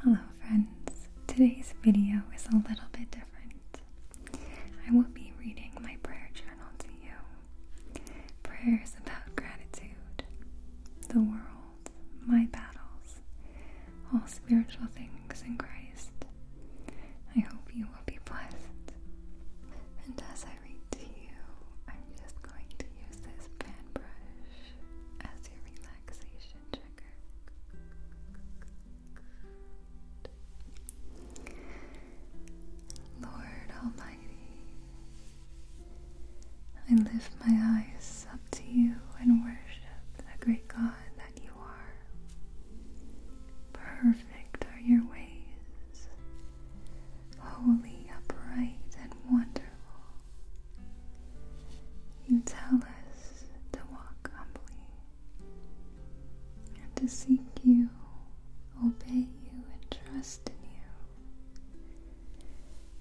Hello friends, today's video is a little bit different. I will be reading my prayer journal to you. Prayers about gratitude, the world, my battles, all spiritual things in Christ. I hope you will be blessed. And as I read to you, I'm just going to use this fan brush as a relaxation trigger. Lord Almighty, I lift my eyes up to you and worship the great God that you are. Perfect are your ways, holy, upright, and wonderful. You tell us to walk humbly and to seek you, obey you, and trust in you.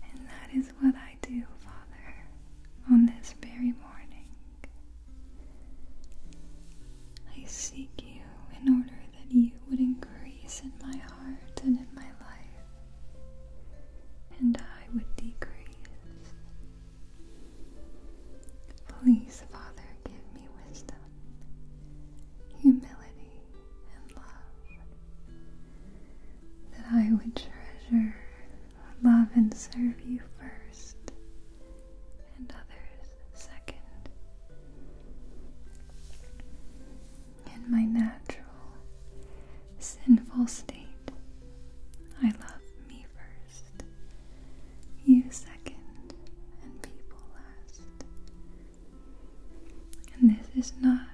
And that is what I do, Father, on this very morning. I seek you in order that you would increase in my heart and in my life and I would decrease. Please, Father, give me wisdom, humility, and love, that I would treasure, love, and serve you first, and others second. In my natural sinful state. I love me first, you second, and people last. And this is not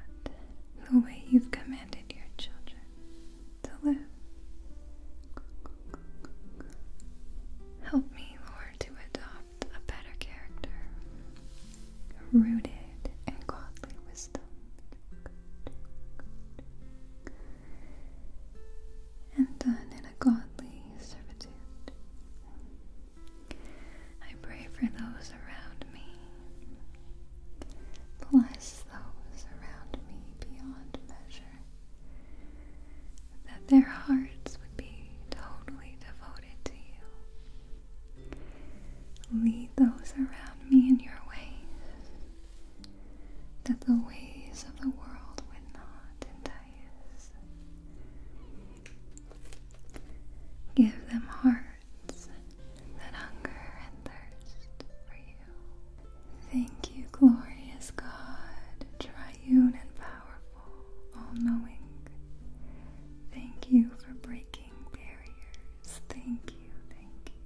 the way you've commanded your children to live. Help me, Lord, to adopt a better character, rooted in godly wisdom and done in a godly servitude. I pray for those around me. Bless those around me beyond measure, that their hearts would be totally devoted to you. Lead those around me in your ways, that the ways of the world would not entice. Give them hearts that hunger and thirst for you. Thank you, glorious God, triune and powerful, all knowing. Thank you for breaking barriers. Thank you, thank you.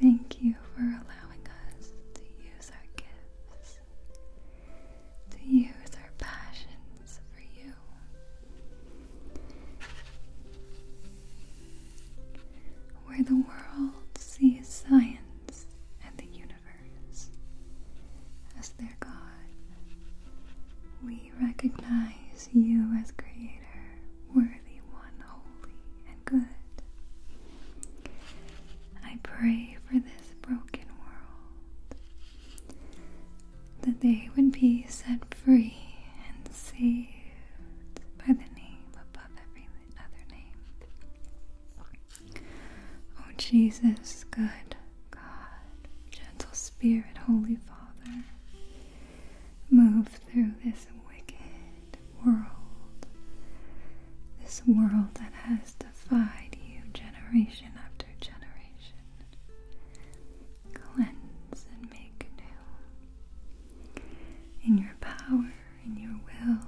Thank you. Thank you for allowing us to use our gifts, to use our passions for you. Where the world sees science and the universe as their God, we we recognize you as Creator, worthy, one, holy, and good. I pray for this broken world that they would be set free and saved by the name above every other name. Oh, Jesus, good God, gentle Spirit, Holy Father move through this wicked world, this world that has defied you generation after generation. Cleanse and make new. In your power, in your will,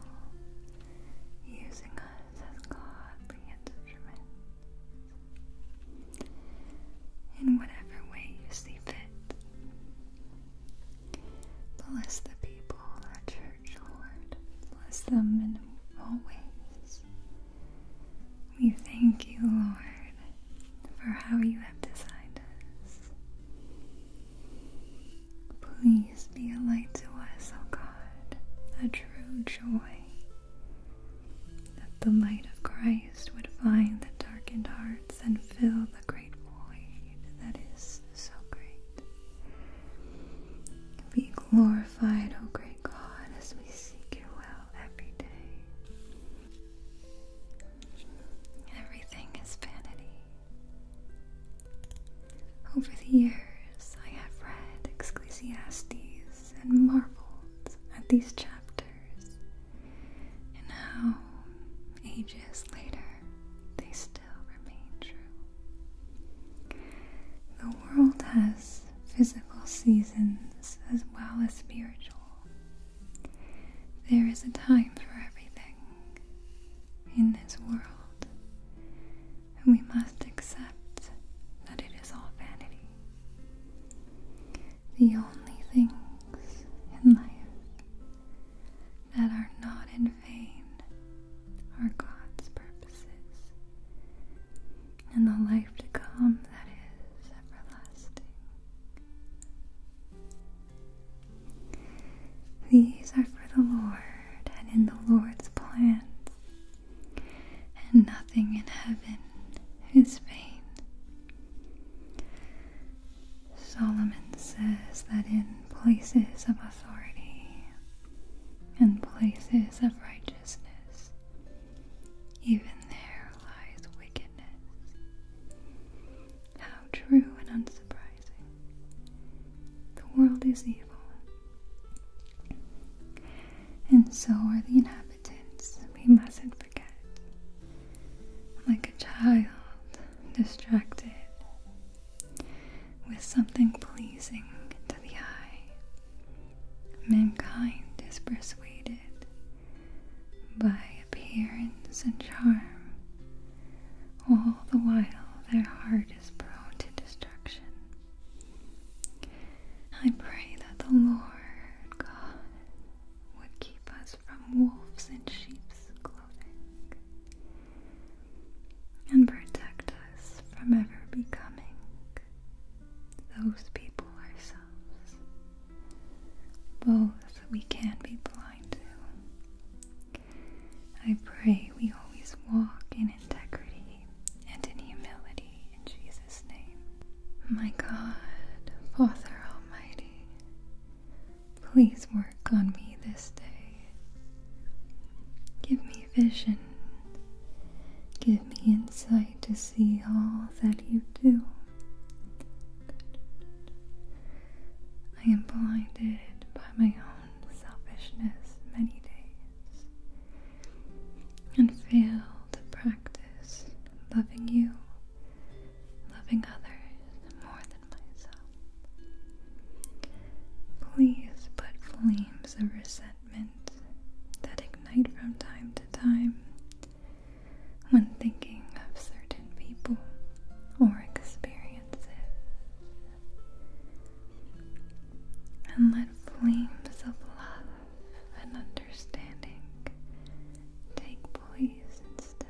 using us as godly instruments. In whatever way you see fit. Bless the people, our church, Lord. Bless them in all ways. We thank you, Lord, for how you have designed us. Please be a light to us, O God, a true joy, that the light of Christ would find the darkened hearts and fill great void that is so great. Be glorified, O great God, as we seek your will every day. Everything is vanity. Over the years, I have read Ecclesiastes and marveled at these chapters and how, ages later, they still remain true. The world has physical seasons as well as spiritual. There is a time for everything in this world, and we must accept that it is all vanity the only things in life that are not in vain are God's purposes, and the life to come that is everlasting. These are for the Lord and in the Lord's plans, and nothing in heaven is vain. Solomon says that in places of authority and places of righteousness, even there lies wickedness. How true and unsurprising. The world is evil, and so are the inhabitants. We mustn't forget like a child, distracted with something pleasing to the eye. Mankind is persuaded by appearance and charm, all the while their heart is prone to destruction. I pray that the Lord God would keep us from wolves in sheep's clothing, and protect us from ever becoming those people ourselves. Both we can be blind to. I pray we always walk in integrity and in humility in Jesus' name. My God, Father Almighty, Please work on me this day. Give me vision. Give me insight to see all that you do. I am blinded by my own selfishness many days and fail to practice loving you loving others more than myself. Please put flames of resentment that ignite from time to time when thinking of certain people or experiences. And let flames of love and understanding take place instead.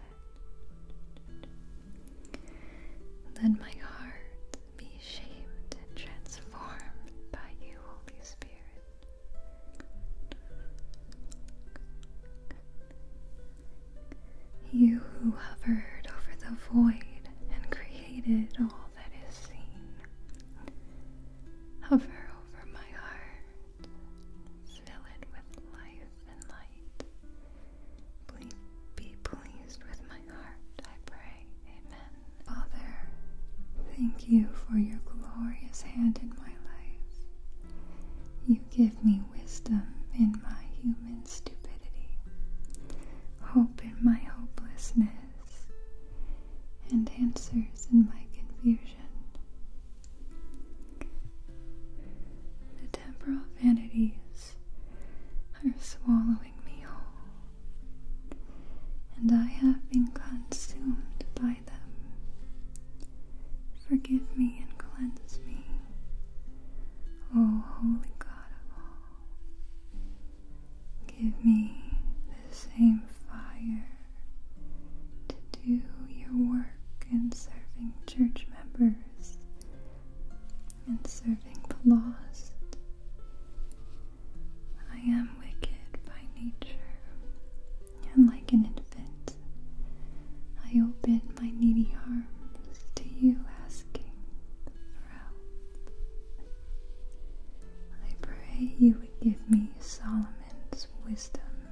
Let my heart be shaped and transformed by you, Holy Spirit. You who hovered over the void and created all that is seen, hover over my heart Fill it with life and light. Please be pleased with my heart, I pray. Amen. Father, thank you for your glorious hand in my life. You give me wisdom in my human stupidity, hope in my hopelessness, and answers in my confusion. The temporal vanities are swallowing me whole, and I have been consumed by them. Forgive me and cleanse me, O Holy God of all. Give me the same fire to do your work in serving church members and serving the laws, I am wicked by nature, and like an infant, I open my needy arms to you, asking for help. I pray you would give me Solomon's God's wisdom,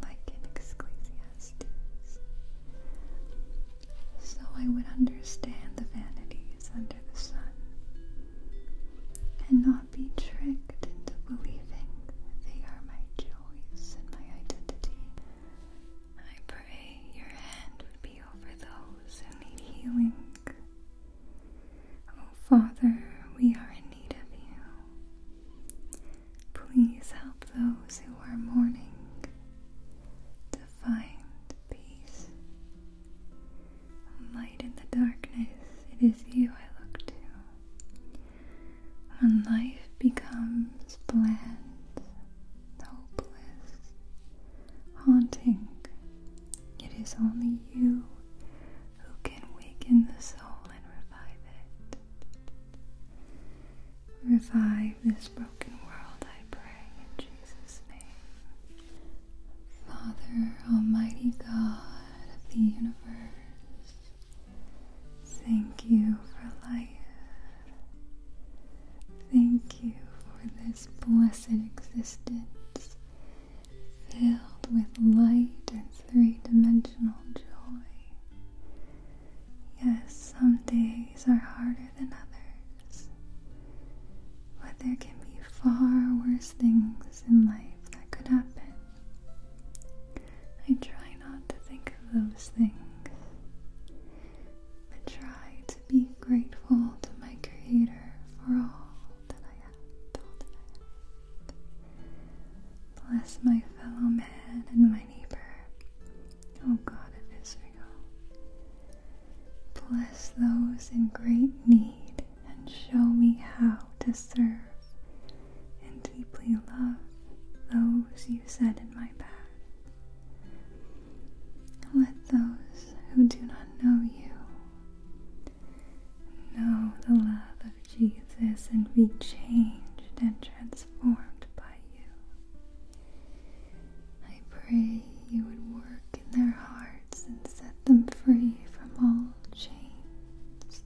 like in Ecclesiastes. So I would understand the vanities under the sun, and not be tricked into believing they are my joys and my identity. I pray your hand would be over those who need healing. Oh Father, we are in need of you. Please help those who are mourning to find peace. Light in the darkness, it is you I look to. When life becomes bland, hopeless, haunting, it is only you who can waken the soul and revive it. Revive this broken world, I pray, in Jesus' name. Father, Almighty God of the universe, thank you for life. Thank you for this blessed existence filled with light and three dimensional joy. Yes, some days are harder than others, but there can be far worse things in life that could happen. I try not to think of those things, but try to be grateful to my Creator for all that I have. All Bless my fellow man and my neighbor. Oh God of Israel, bless those in great need and show me how to serve and deeply love those you set in my path. Let those who do not know you know the love of Jesus and be changed and transformed transformed by you. I pray you would work in their hearts and set them free from all chains.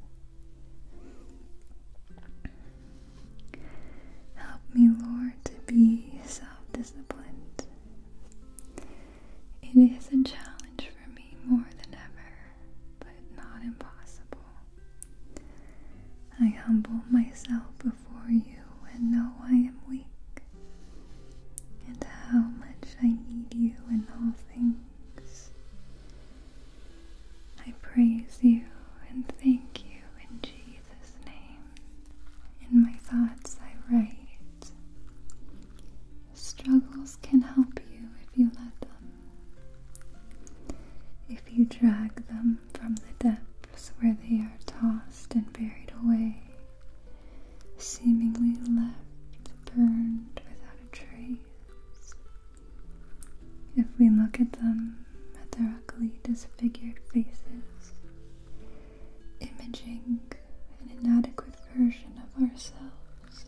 Help me, Lord, to be self disciplined. It is a challenge for me more than ever, but not impossible. I humble myself before you and know I am weak, and how much I need you in all things. I praise you and thank you in Jesus' name. In my thoughts, I write. Struggles can help you if you let them. If you drag them from the depths where they are tossed and buried away, seemingly left burned without a trace. If we look at them, at their ugly, disfigured faces, imaging an inadequate version of ourselves,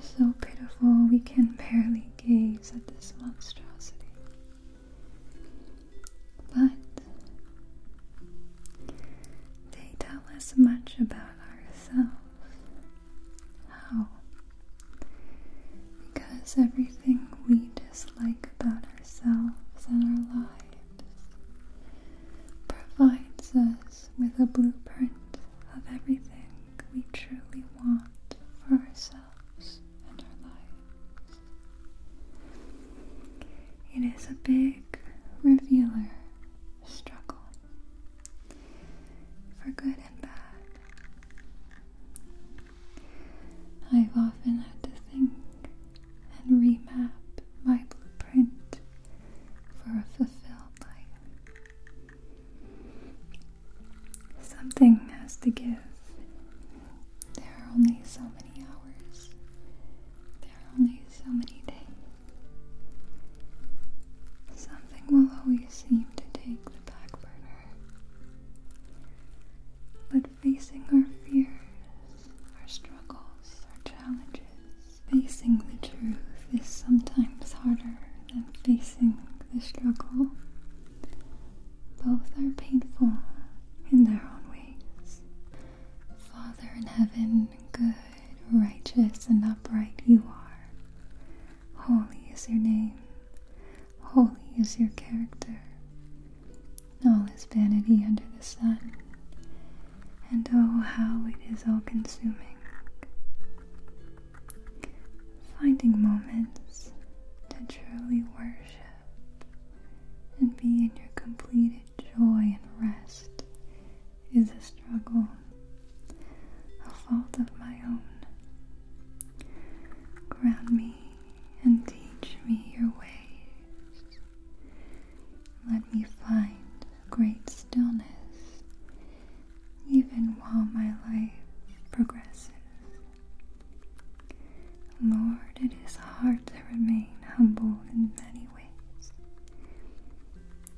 so pitiful we can barely gaze gaze at this monstrosity. But they tell us much about ourselves. How? Because everything we dislike about ourselves and our lives provides us with a blueprint of everything we truly want for ourselves. It is a big revealer struggle for good and bad. I've often had to think and remap my blueprint for a fulfilled life. Something has to give. There are only so many hours. There are only so many days. Something will always seem to take the back burner. But facing our fears, our struggles, our challenges, facing the truth is sometimes harder than facing the struggle. Both are painful in their own ways. Father in heaven, good, righteous, and upright you are. Holy is your name, holy is your character. All is vanity under the sun, and oh, how it is all consuming. Finding moments to truly worship and be in your completed joy and rest is a struggle, a fault of my own. Ground me and teach me your ways. Let me find great stillness even while my life progresses. Lord, it is hard to remain humble in many ways.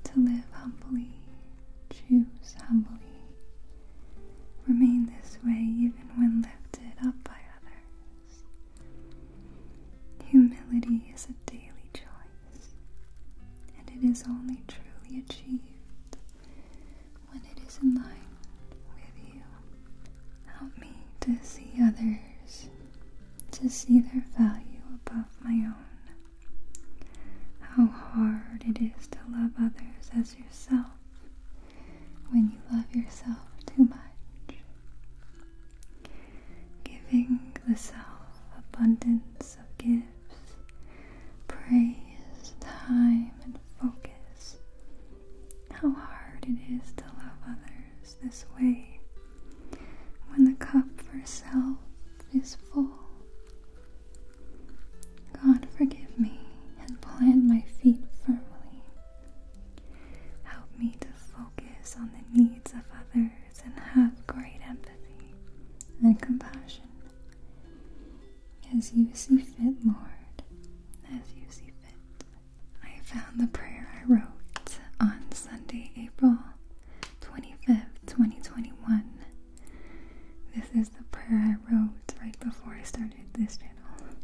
To live humbly, choose humbly, remain this way even when lifted up by others. Humility is a daily choice, and it is only truly achieved when it is in line with you. Help me to see others, to see their value above my own. How hard it is to love others as yourself when you love yourself too much. Giving the self abundance of gifts, praise, time, and focus. How hard it is to love others this way when the cup for self is full. God, forgive me and plant my feet firmly. Help me to focus on the needs of others and have great empathy and compassion as you see fit, Lord, as you see fit. I found the prayer I wrote on Sunday, April 25th, 2021. This is the prayer I wrote right before I started this channel.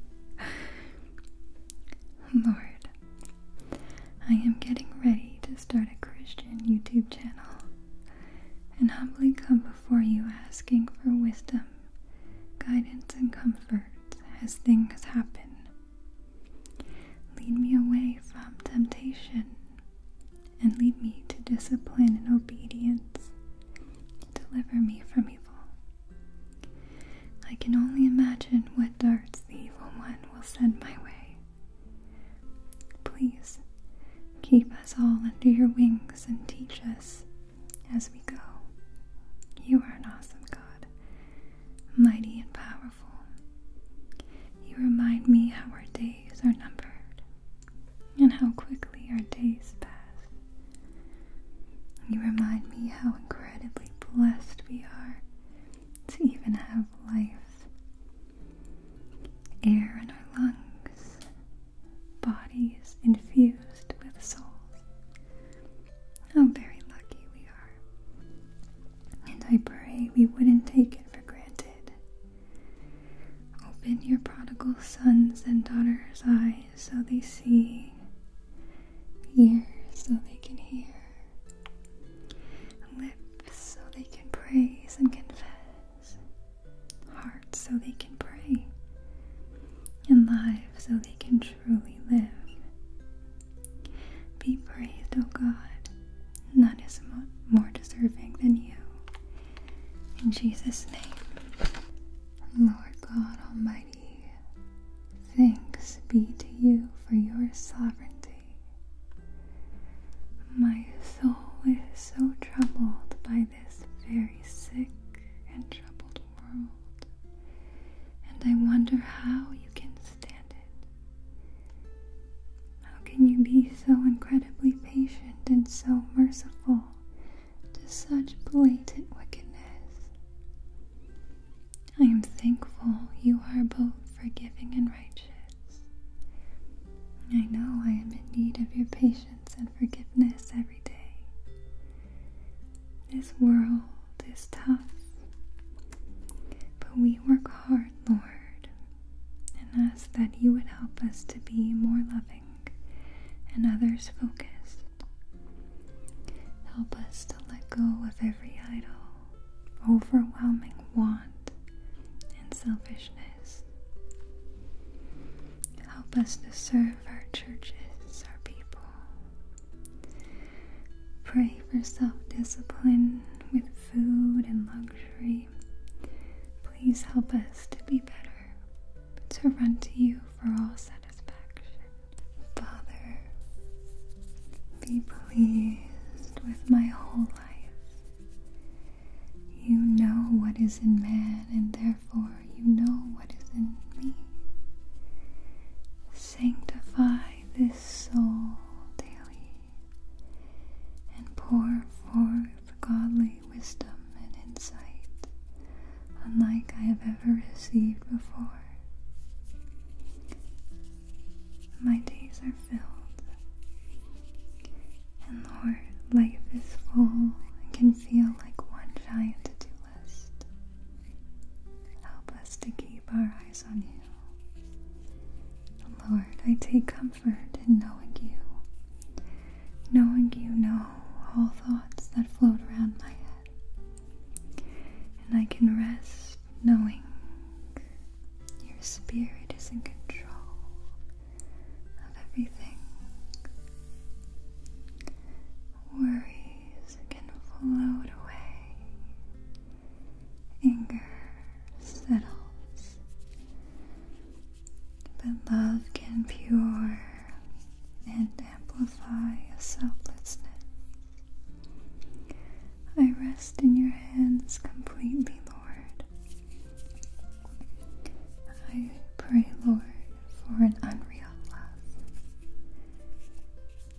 Lord, I am getting ready to start a Christian YouTube channel and humbly come before you asking for wisdom guidance and comfort as things happen. Lead me away from temptation and lead me to discipline and obedience. Deliver me from evil. I can only imagine what darts the evil one will send my way. Please keep us all under your wings and teach us as we go. You are an awesome God, mighty and powerful. You remind me how our days are numbered and how quickly our days pass. You remind me how incredibly blessed we are to even have life, air in our lungs, bodies infused with souls. How very lucky we are. And I pray we wouldn't take it for granted. Open your prodigal sons and daughters' eyes so they see, ears so they can hear, lips so they can praise and confess hearts so they can pray, and lives so they can truly live. Be praised, O God, none is more deserving than you. In Jesus' name, Lord God Almighty, thanks be to you for your sovereignty. My soul is so troubled by this very sick and troubled world, and I wonder how you can stand it. How can you be so incredibly patient and so merciful to such blatant wickedness? I am thankful you are both forgiving and righteous. I know I am in need of your patience and forgiveness every day. This world is tough, but we work hard, Lord, and ask that you would help us to be more loving and others focused. Help us to let go of every idol, overwhelming want, and selfishness. Help us to serve our churches, our people. Pray for self discipline with food and luxury. Please help us to be better, to run to you for all satisfaction. Father, be pleased with my whole life. You know what is in man and their for you know what is in me. Sanctify this soul daily and pour forth godly wisdom and insight, unlike I have ever received before. My days are filled, and Lord, life is full and confused feel like one giant to do list. Help us to keep our eyes on you. Lord, I take comfort in knowing you, knowing you know all thoughts that float around my head, and I can rest knowing your spirit is in control of everything. Worries can float away. Anger settles. But love can pure and amplify a selflessness. I rest in your hands completely, Lord. I pray, Lord, for an unreal love,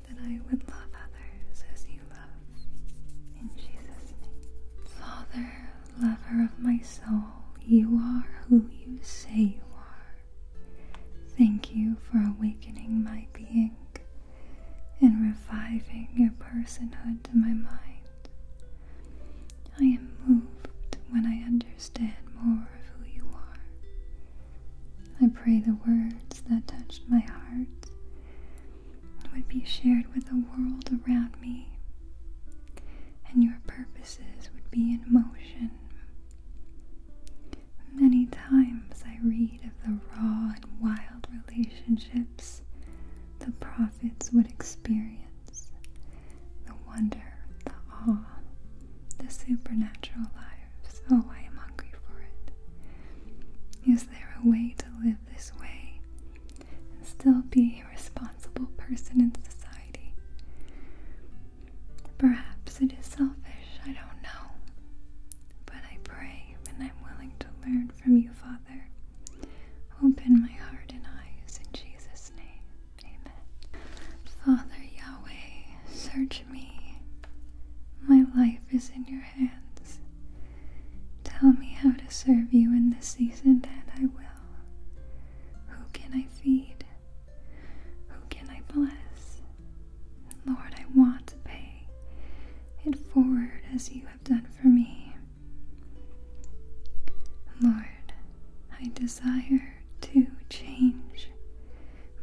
that I would love others as you love. In Jesus' name. Father, lover of my soul, you are who you say you are. Thank you for awakening my being and reviving your personhood to my mind. I am moved when I understand understand more of who you are. I pray the words that touched my heart would be shared with the world around me, and your purposes would be in motion. Many times I read of the raw and wild relationships the prophets would experience the wonder, the awe, the supernatural lives. Oh, I am hungry for it. Is there a way to live this way and still be a responsible person in society? Perhaps it is selfish, I don't know. But I pray and I'm willing to learn from you, Father. Open my heart and eyes in Jesus' name. Father Yahweh, search me. My life is in your hands. Tell me how to serve you in this season, and I will. Who can I feed? Who can I bless? Lord, I want to pay it forward as you have done for me. Lord, I desire to change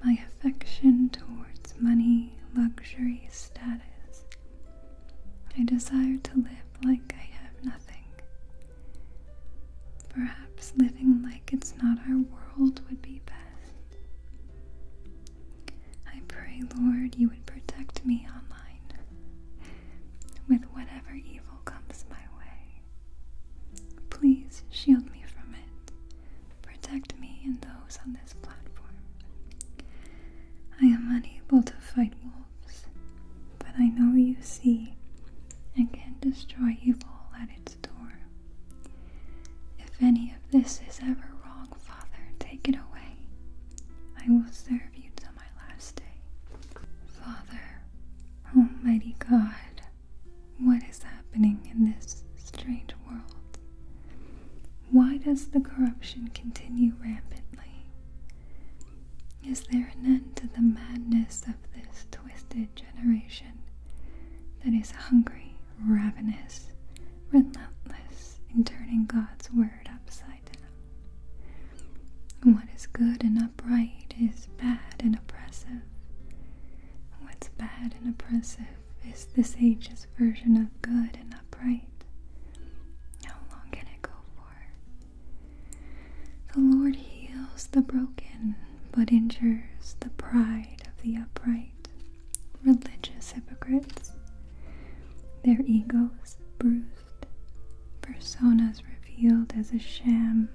my affection towards money, luxury, status. I desire to live like I have nothing. Perhaps living like it's not our world would be best. I pray, Lord, you would protect me online with whatever evil comes my way. Please shield me from it. Protect me and those on this platform. I am unable to fight wolves, but I know you see and can destroy evil at its door. If any of this is ever wrong, Father, take it away. I will serve you till my last day. Father, Almighty God, what is happening in this strange world? Why does the corruption continue rampantly? Is there an end to the madness of this twisted generation that is hungry, ravenous, relentless in turning God's word upside down? What is good and upright is bad and oppressive. What's bad and oppressive is this age's version of good and upright. How long can it go for? The Lord heals the broken, but injures the pride of the upright. Religious hypocrites, their egos bruised, personas revealed as a sham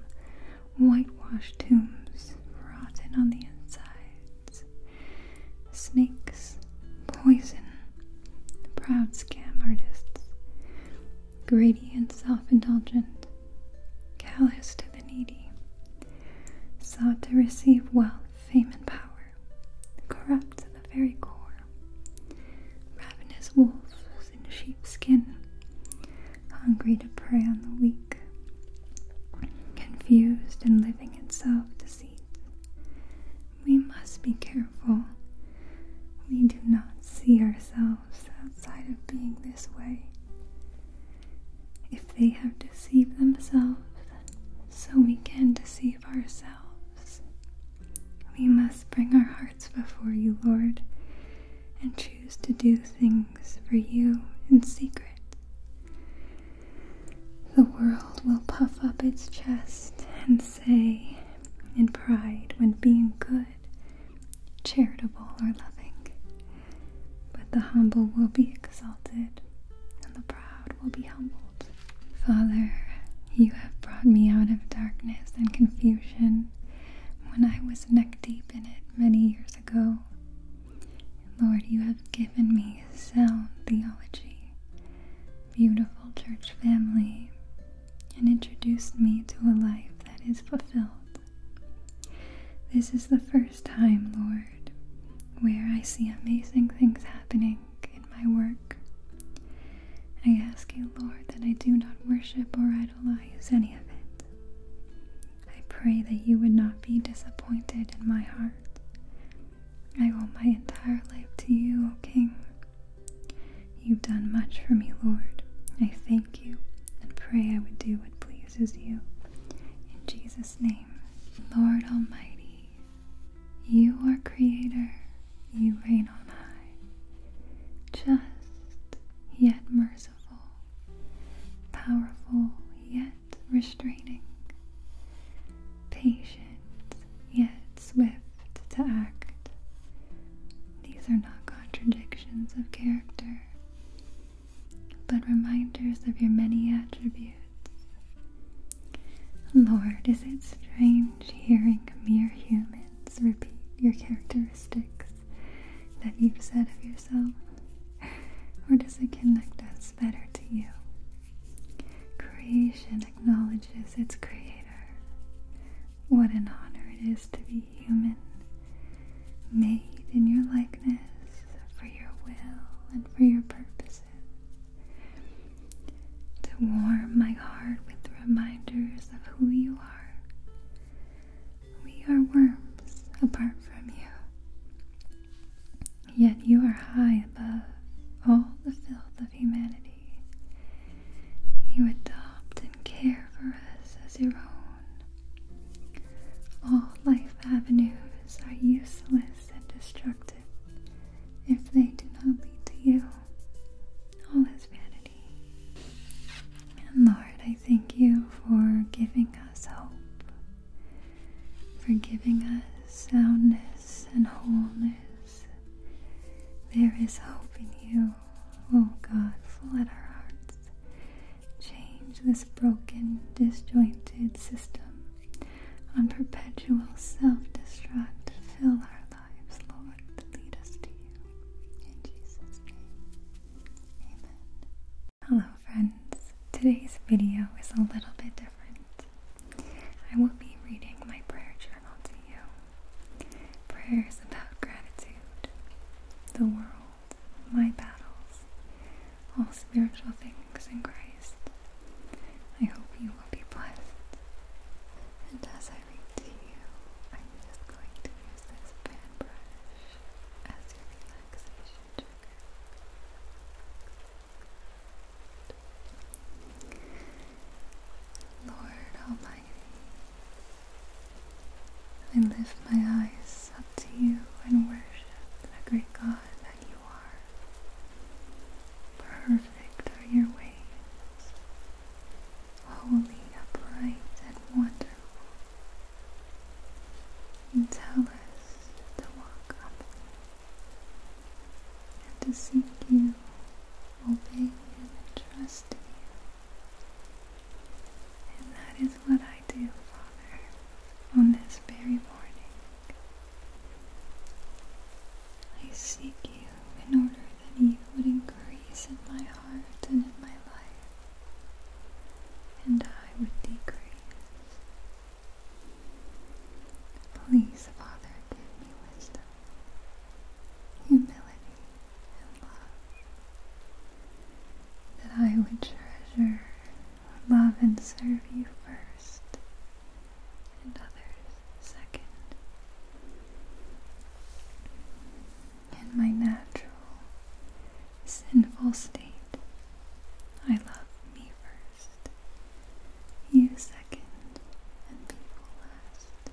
whitewashed tombs, rotten on the insides. Snakes, poison, proud scam artists, greedy and self indulgent, callous to the needy, sought to receive wealth, fame, and power, corrupt to the very core, ravenous wolves in sheepskin, hungry to prey on the weak, confused and living in self deceit. We must be careful. We do not see ourselves outside of being this way. If they have deceived themselves, so we can deceive ourselves. We must bring our hearts before you, Lord, and choose to do things for you in secret. The world will puff up its chest and say in pride when being good, charitable, or loving. But the humble will be exalted, and the proud will be humbled. Father, you have brought me out of darkness and confusion when I was neck deep in it many years ago. Lord, you have given me sound theology, beautiful church family, and introduced me to a life that is fulfilled. This is the first time, Lord, where I see amazing things happening in my work. I ask you, Lord, that I do not worship or idolize any of it. I pray that you would not be disappointed in my heart. I owe my entire life to you, O King. You've done much for me, Lord. I thank you and pray I would do what pleases you. In Jesus' name, Lord Almighty, you are Creator, you reign on high, just yet merciful merciful, powerful yet restraining, patient yet swift to act. These are not contradictions of character, but reminders of your many attributes. Lord, is it strange hearing mere humans repeat your characteristics? that you've said of yourself? Or does it connect us better to you? Creation acknowledges its creator. What an honor it is to be human, made in your likeness, for your will and for your purposes. To warm my heart with the reminders of who you are, we are worms apart from you. Yet you are high above all the filth of humanity. You adopt and care for us as your own. All life avenues are useless and destructive if they do not lead to you. All is vanity. And Lord, I thank you for giving us hope, for giving us soundness and wholeness. There is hope in you, O oh God, flood our hearts. Change this broken, disjointed system on perpetual self destruct. Fill our lives, Lord, to lead us to you. In Jesus' name. Hello friends. Today's video is a little bit different. I will be reading my prayer journal to you. Prayers about gratitude, the world, my battles, all spiritual things in Christ. I hope you will be blessed. And as I read to you, I'm just going to use this fan brush Lord Almighty, I lift my eyes up to you and worship the great God that you are. Perfect are your ways, holy, upright, and wonderful and tell us to walk up and to seek you, obey you, and trust in you. And that is what I do, Father, on this very morning. I seek you in order that you would increase in my heart and in my life and I would decrease. Please, Father, give me wisdom, humility, and love, that I would treasure, love, and serve you first, and others second in my natural, sinful state. I love me first, you second, and people last.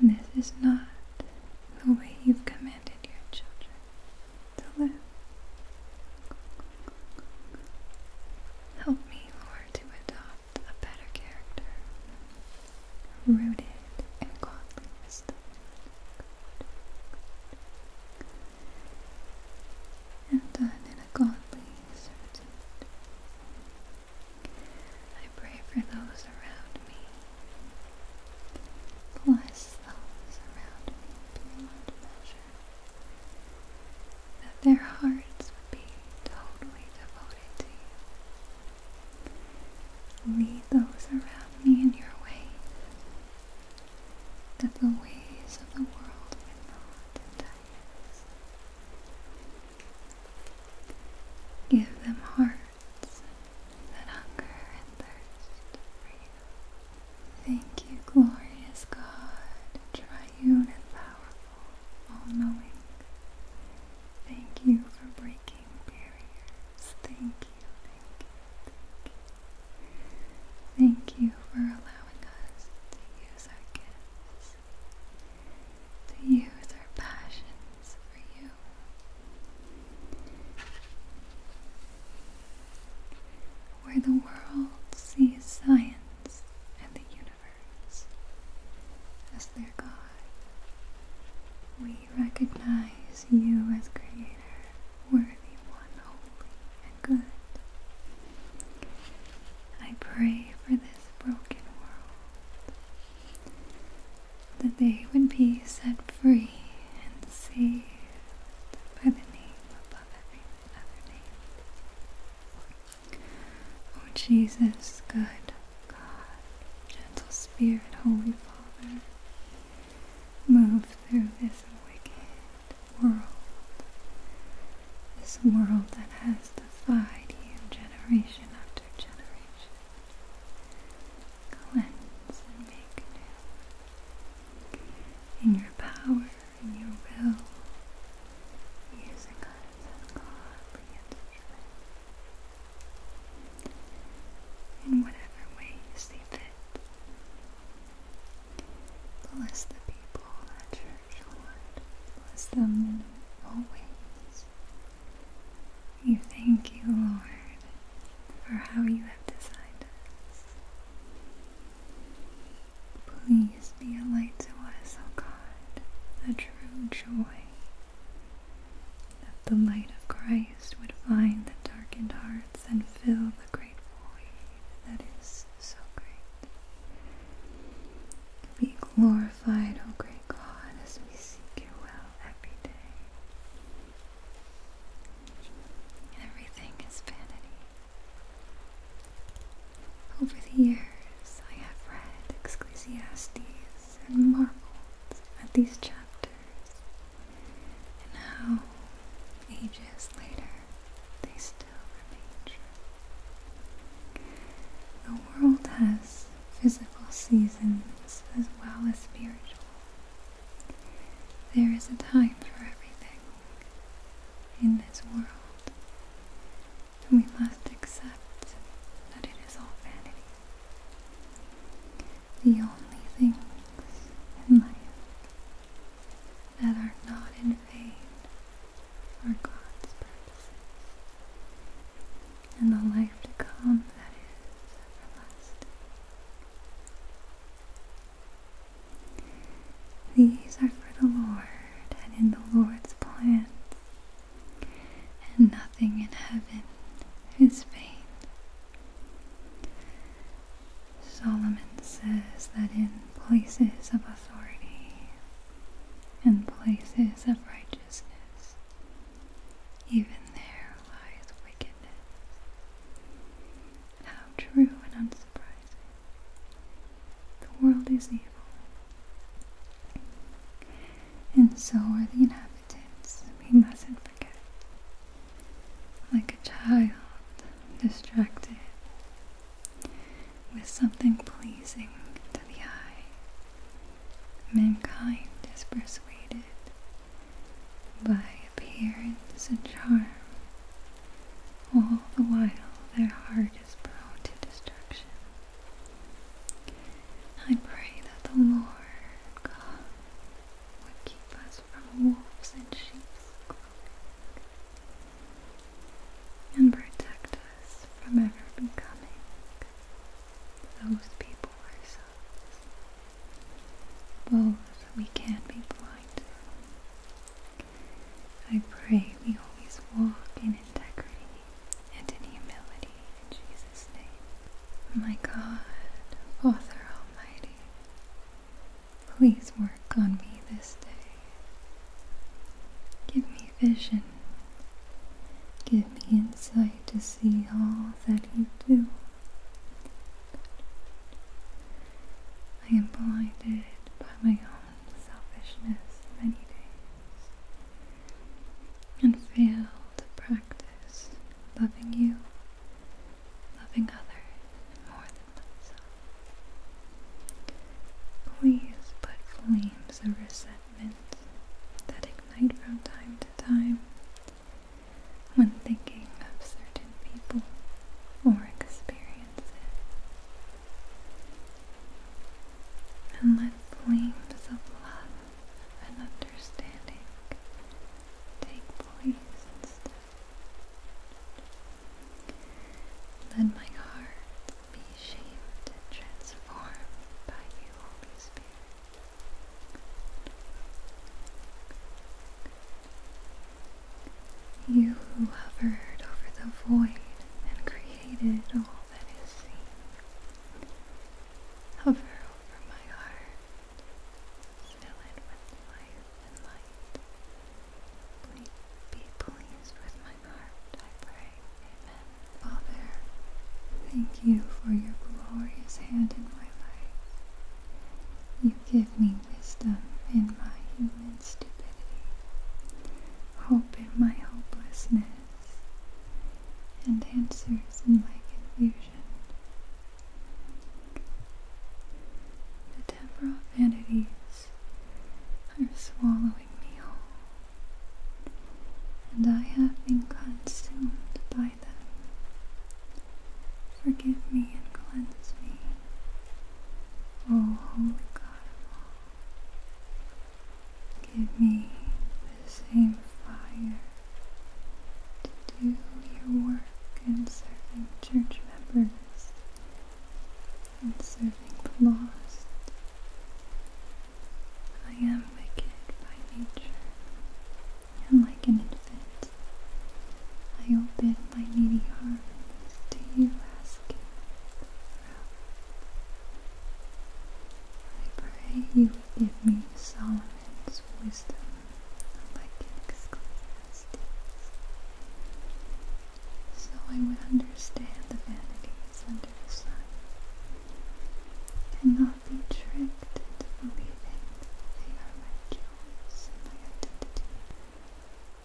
And this is not the way you've commanded your children to live. Help me, Lord, to adopt a better character rooted in godliness, wisdom. And done in a godly servitude. I pray for those around me. Bless those around me beyond measure. That their hearts would be totally devoted to you. Lead those around me in your ways, that the ways of the world would not entice. Give them hearts that hunger and thirst for you. Thank you, glorious God, triune and powerful, all knowing. Thank you for breaking barriers. Thank you, thank you, for allowing us to use our gifts, to use our passions for you. Where the world sees science and the universe as their God, we we recognize you as Creator, worthy one, holy and good. I pray for this broken world that they would be set free and saved by the name above every other name. O Jesus, good God, gentle Spirit, Holy Father move through this wicked world. This world that has defied you generation after generation. Cleanse and make new. In your power, in your will, using God as ungodly in whatever way you see fit. Bless the people at church, Lord. Bless them in all ways. You thank you, Lord, for how you have designed us. Please be a light to us, O God, a true joy that the light of Christ would find the darkened hearts and fill the great void that is so great. Be glorified, O great God, as we seek your will every day. Everything is vanity. Over the years, I have read Ecclesiastes and marveled at these chapters and how ages later they still remain true. The world has physical seasons as well as spiritual. There is a time for everything in this world, and we must accept that it is all vanity the only things in life that are not in vain are God's purposes, and the life to come that is everlasting. These are for the Lord and in the Lord's plans, and nothing in heaven his fate. Solomon says that in places of authority in places of righteousness, even there lies wickedness. How true and unsurprising. The world is evil. And so are the inhabitants. We mustn't like a child distracted with something pleasing to the eye, mankind is persuaded by appearance and charm, all the while their heart is prone to destruction. I pray that the Lord God would keep us from wolves and sheep's and protect us from ever becoming those people ourselves. Both we can be blind to. I pray we always walk in integrity and in humility in Jesus' My God, Father Almighty, please work on me this day. Give me vision. Give me insight to see all that you do. I am blinded by my own selfishness many days and fail to practice loving you loving others more than myself. Please put flames of resentment that ignite from time to time when thinking of certain people or experiences. And let flames of love and understanding take place Let my heart be shaped and transformed by you, Holy Spirit. You who hovered over the void and created all that is seen, hover over my heart Fill it with life and light. be pleased with my heart, I pray. Amen. Father, thank you for your glorious hand in my life. You give me wisdom in my human stupidity, hope in my hopelessness, and answers in my confusion. The Deborah vanities are swallowing me whole, and I have been consumed by them. Forgive me and cleanse me, O Holy God of all. Give me the same fire to do your work in serving church members and serving the lost. I am wicked by nature, and like an infant, I open my needy heart to you asking for help. I pray you give me Solomon's wisdom of my king's so I would understand the vanities under the sun, and not be tricked into believing they are my jewels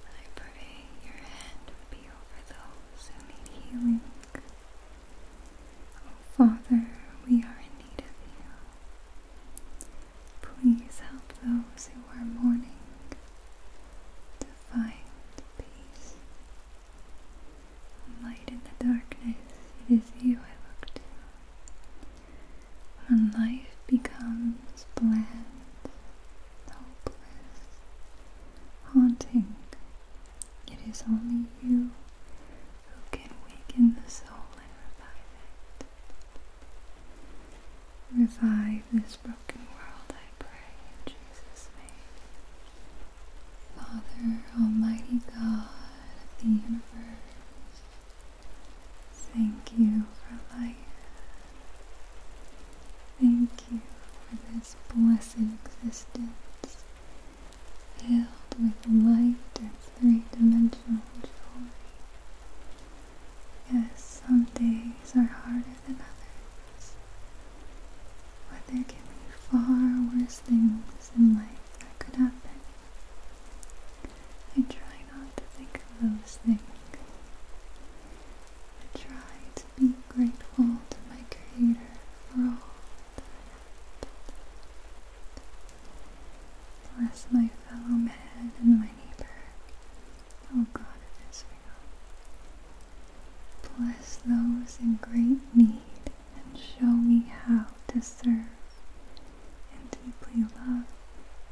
I pray your hand would be over those who need healing. Oh Father, we are in need of you. Please help those who are mourning to find peace. Light in the darkness, it is you I look to. When life becomes bland, hopeless, haunting, it is only you who can waken the soul and revive it. Revive this broken world, I pray, in Jesus' name. Father, Almighty God of the universe, thank you for life. Thank you for this blessed existence, filled with light and three-dimensional jewelry. Yes, some days are harder than others. But there can be far worse things in life that could happen. I try not to think of those things. I try to be grateful to my Creator for all that I have. Bless my fellow man and my neighbor. Oh God of Israel. Bless those in great need and show me how to serve and deeply love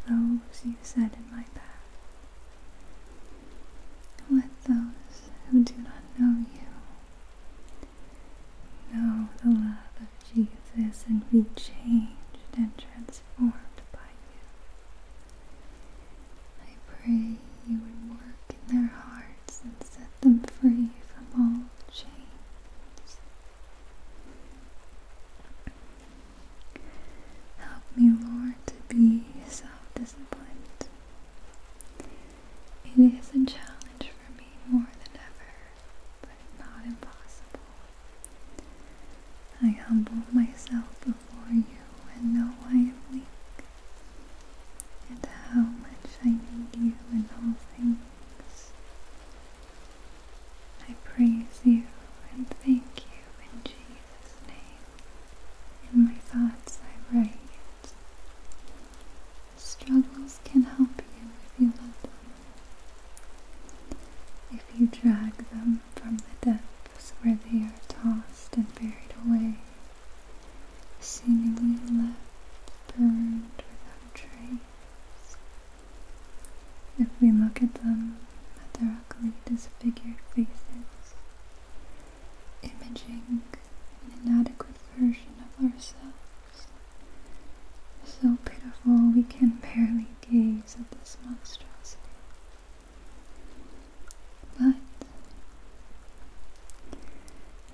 those you set in my path. Let those who do not know you know the love of Jesus and be changed and transformed by you. I pray you would work in their hearts and set them free from all chains. Help me, Lord, to be self disciplined. It is a challenge for me more than ever, but not impossible. I humble myself before you and know I am weak, and how much I need you in all things. I praise you and thank you in Jesus' name. In my thoughts I write. struggles can help you if you love them. If you drag them from the depths where they are tossed and buried away, seemingly left burned without trace. If we look at them, at their ugly disfigured faces, imaging an inadequate version of ourselves, so pitiful we can barely gaze at this monstrosity. But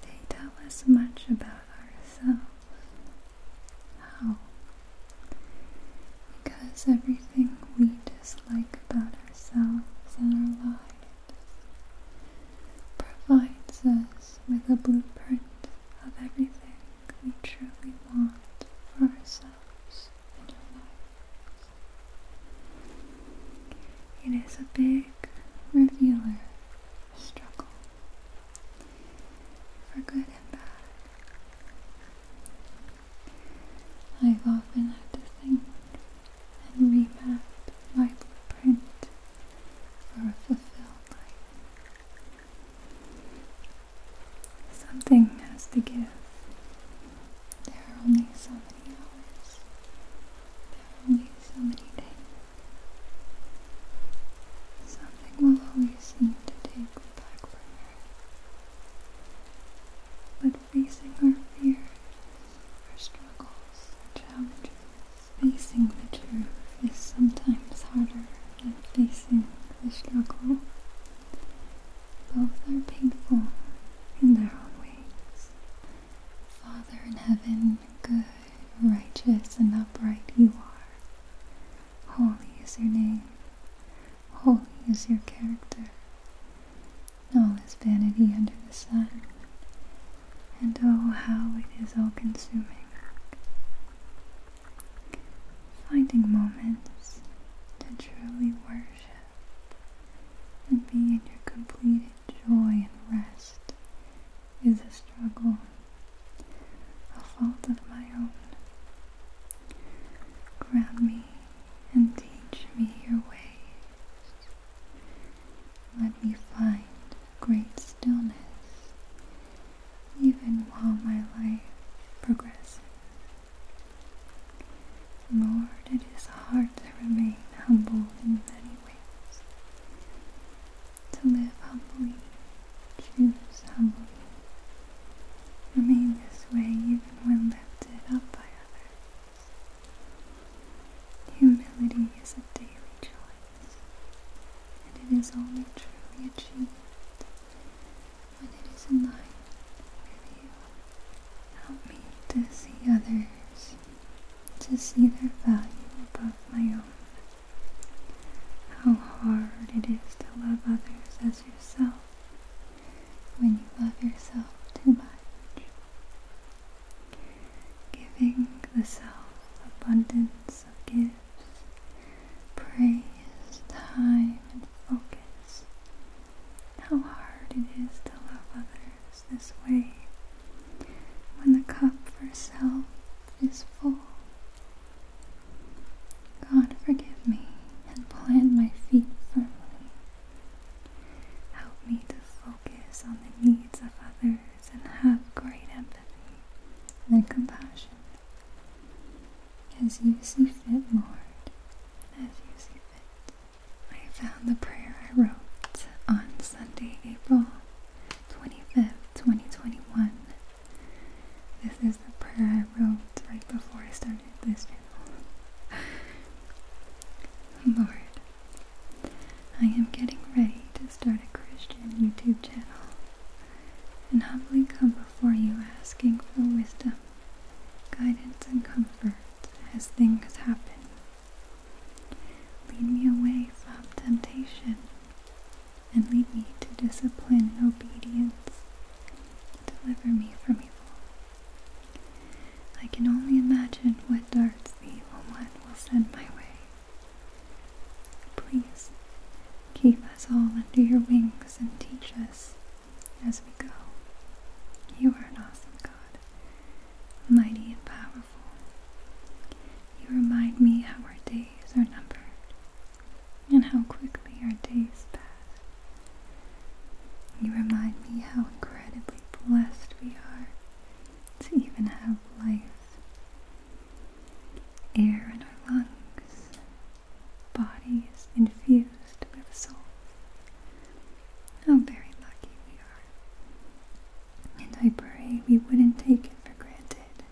they tell us much about ourselves. How? Because everything we dislike about ourselves and our lives provides us with a blueprint of everything we truly want for ourselves and our lives. It is a big revealer struggle for good and bad. I've often had to think and remap my print for a fulfilled life. Something has to give. There are only so many hours. There are only so many days. Something will always need to take the back burner. But facing our fears, our struggles, our challenges, facing the truth is sometimes harder facing the struggle. Both are painful in their own ways. Father in heaven, good, righteous, and upright you are. Holy is your name. Holy is your character. All is vanity under the sun. And oh, how it is all consuming. Finding moments to truly worship and be in your complete joy and rest is a struggle, a fault of my own. Ground me and teach me your ways. Let me find great stillness even while my life progresses. Lord, it is hard to remain humble in many ways. To live humbly, choose humbly. Remain this way even when lifted up by others. Humility is a daily choice, and it is only truly achieved when it is in line with you. Help me to see others, to see their value above my own. How hard it is to love others as yourself when you love yourself too much. Giving the self abundance also gives praise, time, and focus. How hard it is to love others this way when the cup for self is full. God, forgive me and plant my feet firmly. Help me to focus on the needs of others and have great empathy and compassion as you see fit, more as you see fit. I found the prayer I wrote on Sunday, April 25th, 2021. This is the prayer I wrote right before I started this channel. Lord, I am getting ready to start a Christian YouTube channel and humbly come before you asking for wisdom, guidance, and comfort as things happen. Lead me away from temptation and lead me to discipline and obedience. Deliver me from evil. I can only imagine what darts the evil one will send my way. Please Keep us all under your wings and teach us as we go. You are an awesome God, mighty and powerful. You remind me how our days are numbered and how quickly our days pass. You remind me how incredibly blessed we are to even have life Air in our lungs, bodies infused with soul. How very lucky we are. And I pray we wouldn't take it for granted.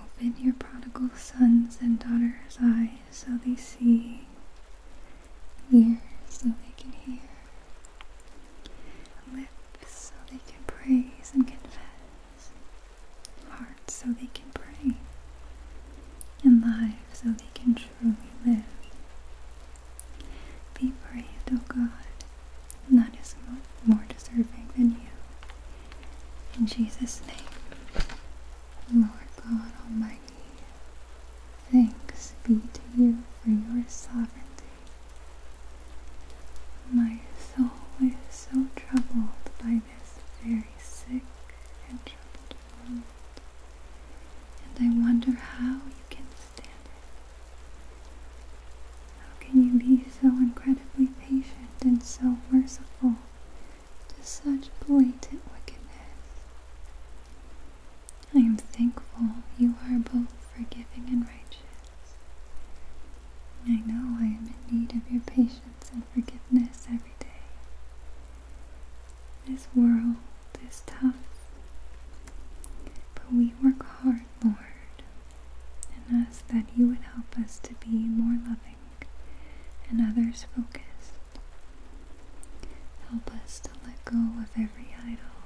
Open your prodigal sons and daughters' eyes so they see, ears so they can hear, lips so they can praise and confess hearts so they can pray, and lives so they can truly live. Be praised, O God, not as more deserving than you. In Jesus' name, Lord God Almighty, thanks be to you for your sovereignty. My soul is so troubled by very sick and troubled and I wonder how you can stand it. How can you be so incredibly patient and so merciful to such blatant wickedness? I am thankful you are both forgiving and righteous. I know I am in need of your patience and forgiveness every day. This world is tough, but we work hard, Lord, and ask that you would help us to be more loving and others focused. Help us to let go of every idol,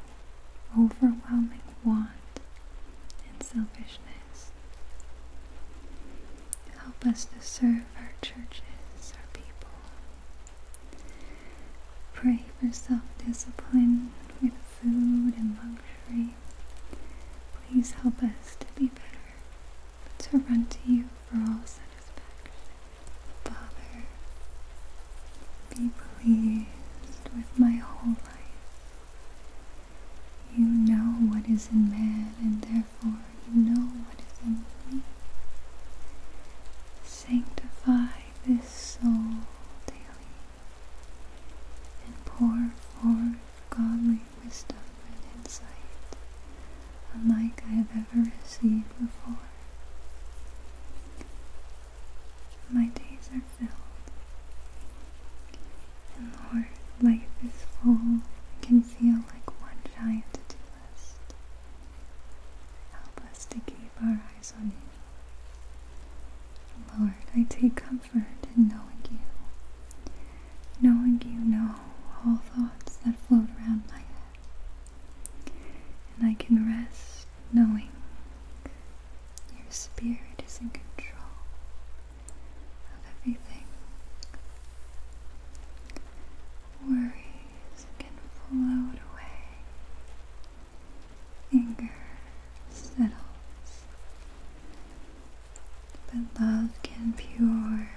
overwhelming want, and selfishness. Help us to serve our churches, our people. Pray for self discipline with food and luxury. Please help us to be better, but to run to you for all satisfaction. Father, be pleased with my whole life. You know what is in man, and therefore you know what is in me. Sanctify this soul daily and pour forth godly wisdom and insight unlike I have ever received before. My days are filled and Lord, life is full. It can feel like one giant to-do list. Help us to keep our eyes on you. Lord, I take comfort in knowing you. Knowing you know all thoughts that float around my head. And I can rest knowing your spirit is in control of everything. Worries can float away. Anger settles. But love can pure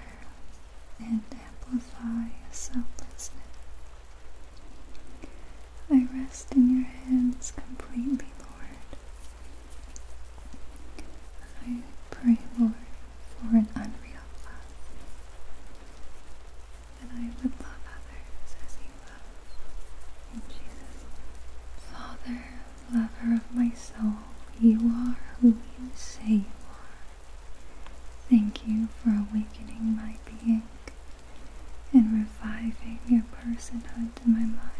and amplify selflessness. I rest in your hands completely, Lord. I pray, Lord, for an unreal love, that I would love others as you love. Jesus' Father, lover of my soul, you are who you say you are. Thank you for awakening my being and reviving your personhood in my mind.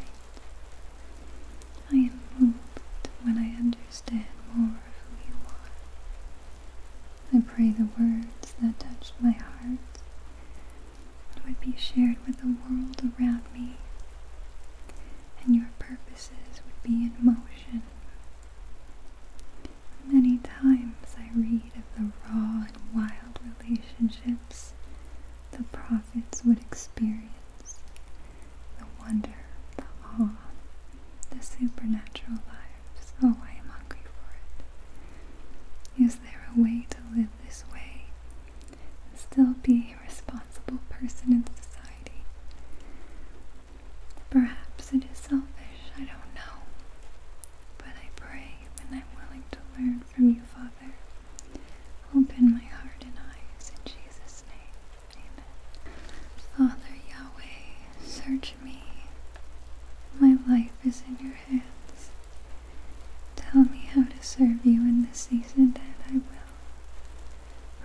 I am moved when I understand more of who you are. I pray the words that touched my heart would be shared with the world around me, and your purposes would be in motion. Many times I read of the raw and wild relationships the prophets would experience themselves, the wonder, the awe, the supernatural lives. Oh, I am hungry for it. Is there a way to live this way and still be a responsible person in society? Perhaps it is selfish, I don't know. But I pray and I'm willing to learn from you, Father. Open my heart and eyes in Jesus' name. Father Yahweh, search me. My life is in your hands. Tell me how to serve you in this season, and I will.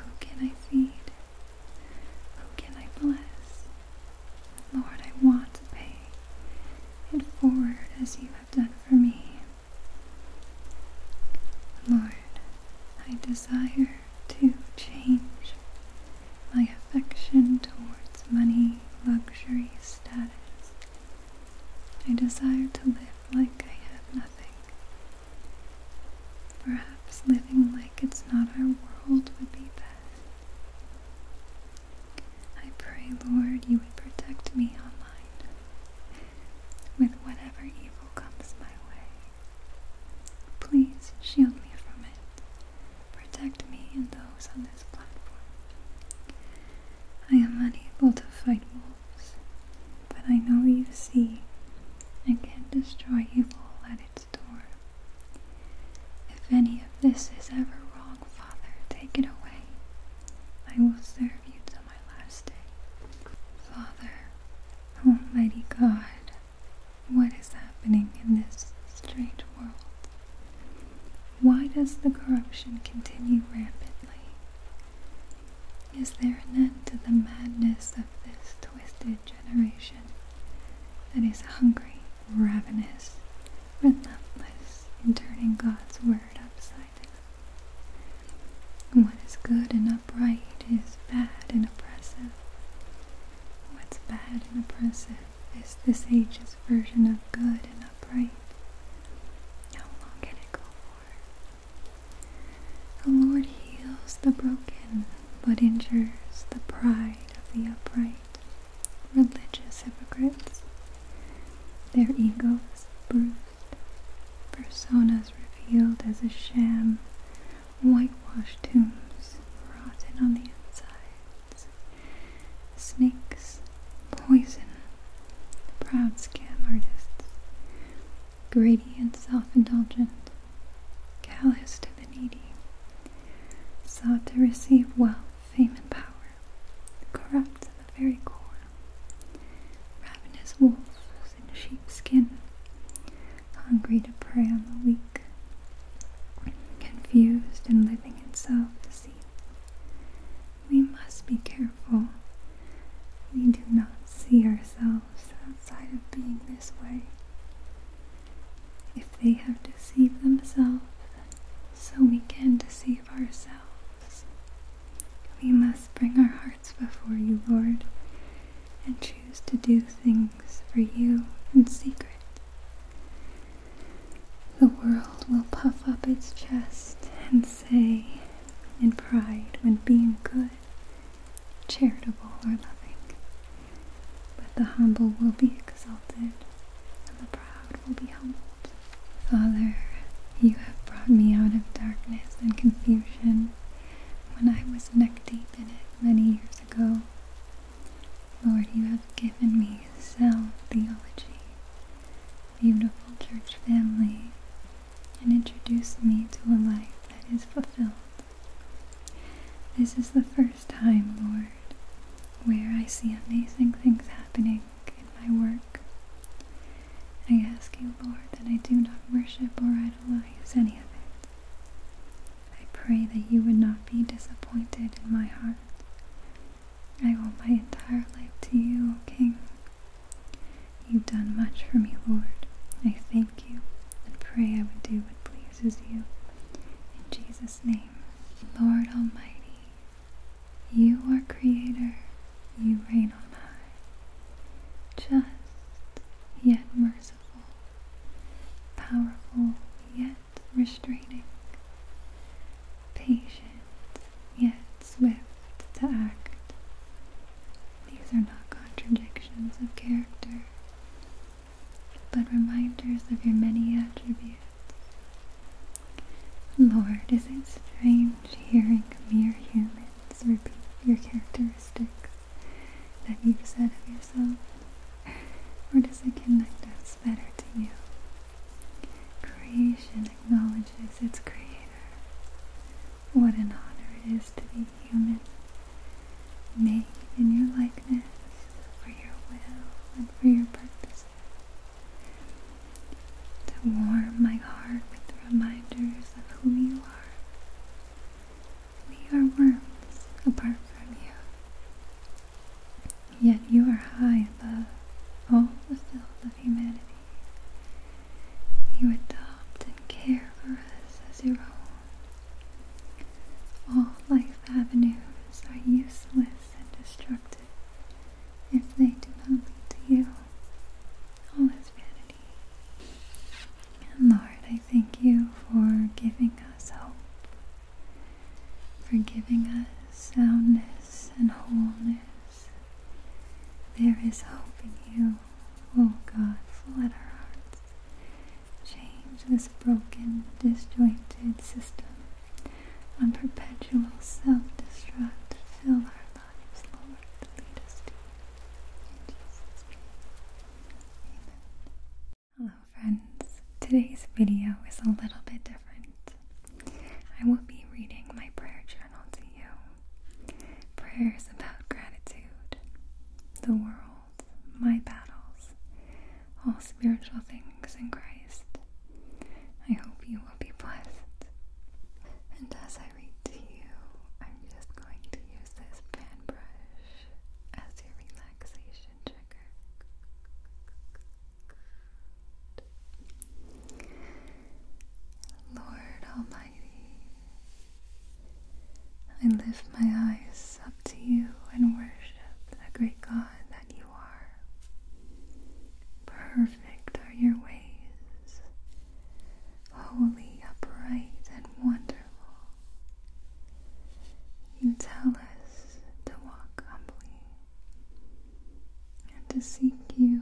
Who can I feed? Who can I bless? Lord, I want to pay it forward as you have done for me. Lord, I desire to change my affection towards money, luxury, status. I desire to live like I have nothing. Perhaps living like it's not our world would be best. I pray, Lord, you would protect me online with whatever evil comes my way. Please shield me from it. Protect me and those on this platform. I am unable to fight wolves, but I know you see and can destroy evil at its door. If any of this is ever wrong, Father, take it away. I will serve you till my last day. Father, Almighty oh, God, what is happening in this strange world? Why does the corruption continue rapidly? Is there an end to the madness of this twisted generation that is hungry, ravenous, relentless in turning God's word upside what is good and upright is bad and oppressive. What's bad and oppressive is this age's version of good and upright. How long can it go for? The Lord heals the broken, but injures the pride of the upright. Religious hypocrites, their egos bruised Personas revealed as a sham, whitewashed tombs, rotten on the inside. Snakes, poison, proud scam artists, greedy and self-indulgent, callous to the needy, sought to receive wealth, fame, and power, corrupt to the very core, ravenous wolves in sheepskin, hungry to prey on the weak, confused and living itself to see. We must be careful. We do not see ourselves outside of being this way. If they have deceived themselves, so we can deceive ourselves. We must bring our hearts before you, Lord, and choose to do things for you in secret. The world will puff up its chest and say in pride when being good, charitable, or loving. But the humble will be exalted, and the proud will be humbled. Father, you have brought me out of darkness and confusion when I was neck deep in it many years ago. Lord, you have given me sound theology, beautiful church family, and introduced me to a life that is fulfilled. This is the first time, Lord, where I see amazing things happening in my work. I ask you, Lord, that I do not worship or idolize any of it. I pray that you would not be disappointed in my heart. I owe my entire life to you, O King. You've done much for me, Lord. I thank you and pray I would do what pleases you. In Jesus' name, Lord Almighty, you are Creator, you reign on high just yet merciful, powerful yet restraining, patient yet swift to act. These are not contradictions of character, but reminders of your many attributes. Lord, is it strange hearing mere humans repeat your characteristics? that you've said of yourself? Or does it connect us better to you? Creation acknowledges its creator. What an honor it is to be human, made in your likeness, for your will and for your purposes. To warm my heart with the reminders of who you are we are worms apart from you. Yet you are high above all the filth of humanity. You adopt and care for us as your own. All life avenues are useless and destructive if they do not lead to you. All is vanity. Lord, I thank you for giving us hope, for giving us soundness and wholeness. There is hope in you, O oh God, flood our hearts. Change this broken, disjointed system on perpetual self-destruct. Fill our Hello, friends. Today's video is a little bit different. I will be reading my prayer journal to you. Prayers about gratitude, the world, my battles, all spiritual things in Christ. I hope you will be blessed. And as I to you, I'm just going to use this fan brush as your relaxation trigger. Lord Almighty, I lift my eyes up to you and worship the great God that you are. Perfect are your ways, holy, upright, and wonderful. You tell us to walk humbly and to seek you,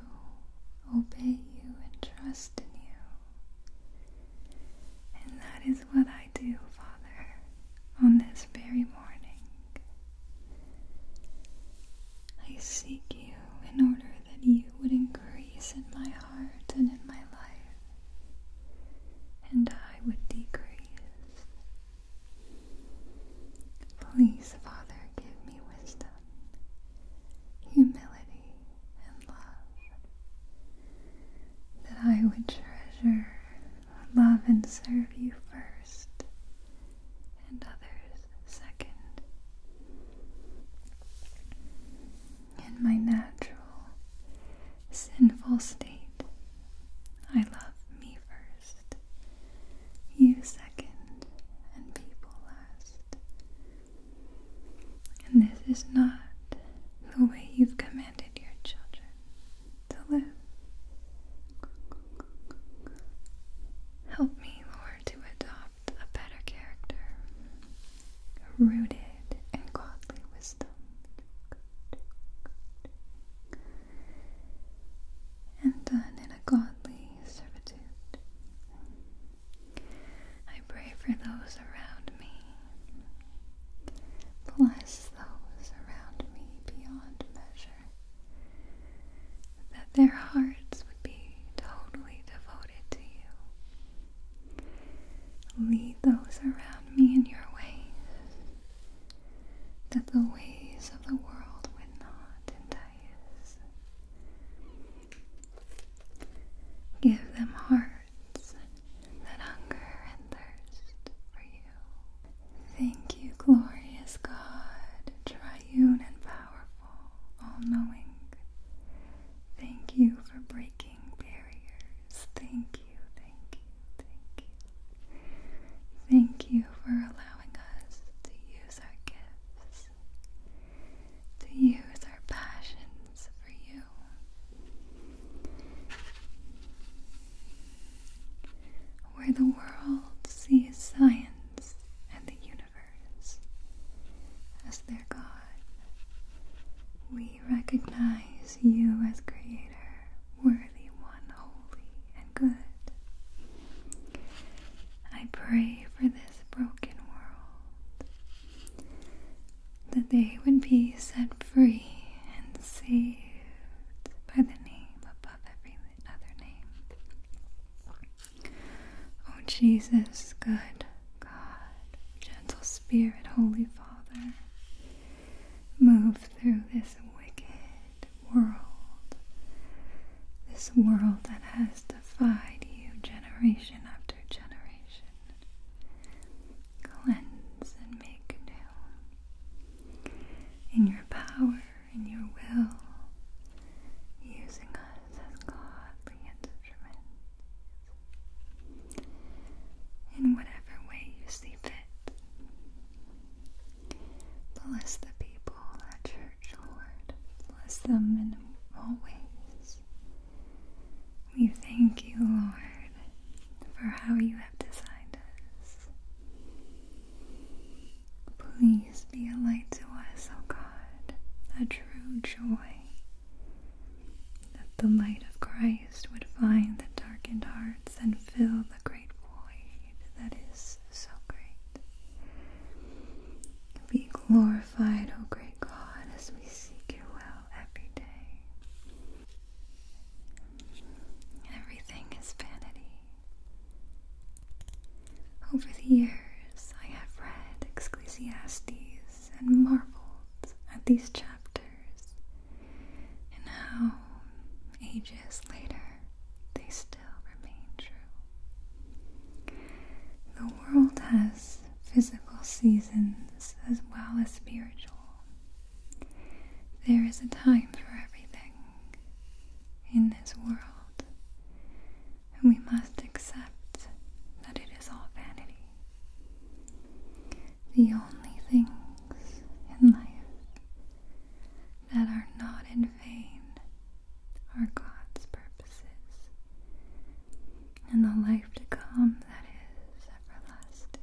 obey you, and trust in you. And that is what I do, Father, on this very morning. I seek you in order that you would increase in my heart and in my life, and I would decrease. Please, Father, give me wisdom, humility, and love, that I would treasure, love, and serve you first, and others second in my natural, sinful state. I love me first, you second, and people last. And this is not the way you've commanded your children to live. Help me, Lord, to adopt a better character, rooted in godly wisdom. And done in a godly servitude. I pray for those around me. Bless those around me beyond measure. That their hearts would be totally devoted to you Lead those around me in your ways, that the ways of the world would not entice. Give them hearts that hunger and thirst for you. Thank you, glorious God, triune and powerful, all knowing. Thank you for breaking barriers. Thank you, thank you, thank you. Thank you for allowing us to use our gifts, to use our passions for you. Where the world sees science and the universe as their God. We recognize you as Creator, worthy one, holy and good. I pray for this broken world that they would be set free and saved by the name above every other name. Oh, Jesus, good God, gentle Spirit, Holy Father, move through this wicked world, this world that has defied you generation after generation. Cleanse and make new. In your power, in your will, using us as godly instruments in whatever way you see fit. Bless the people at church, Lord. Bless them in all ways. We thank you, Lord, for how you have designed us. Please be a light to us, O God, a true joy, that the light of Christ would find the darkened hearts and fill the great void that is so great. Be glorified, O great God, as we seek your will every day. Everything is vanity. Over the years, I have read Ecclesiastes and marvels at these chapters and how ages later they still remain true. The world has physical seasons as well as spiritual. There is a time for everything in this world, and we must accept that it is all vanity. The only things in life that are not in vain are God's purposes, and the life to come that is everlasting.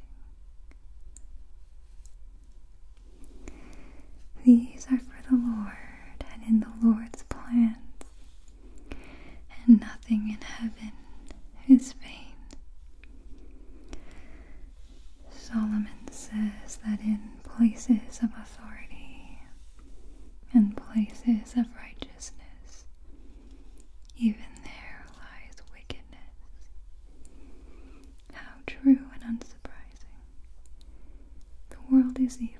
These are for the Lord, and in the Lord's plans and nothing in heaven is vain. Solomon says that in places of authority and places of righteousness, even there lies wickedness. How true and unsurprising. The world is evil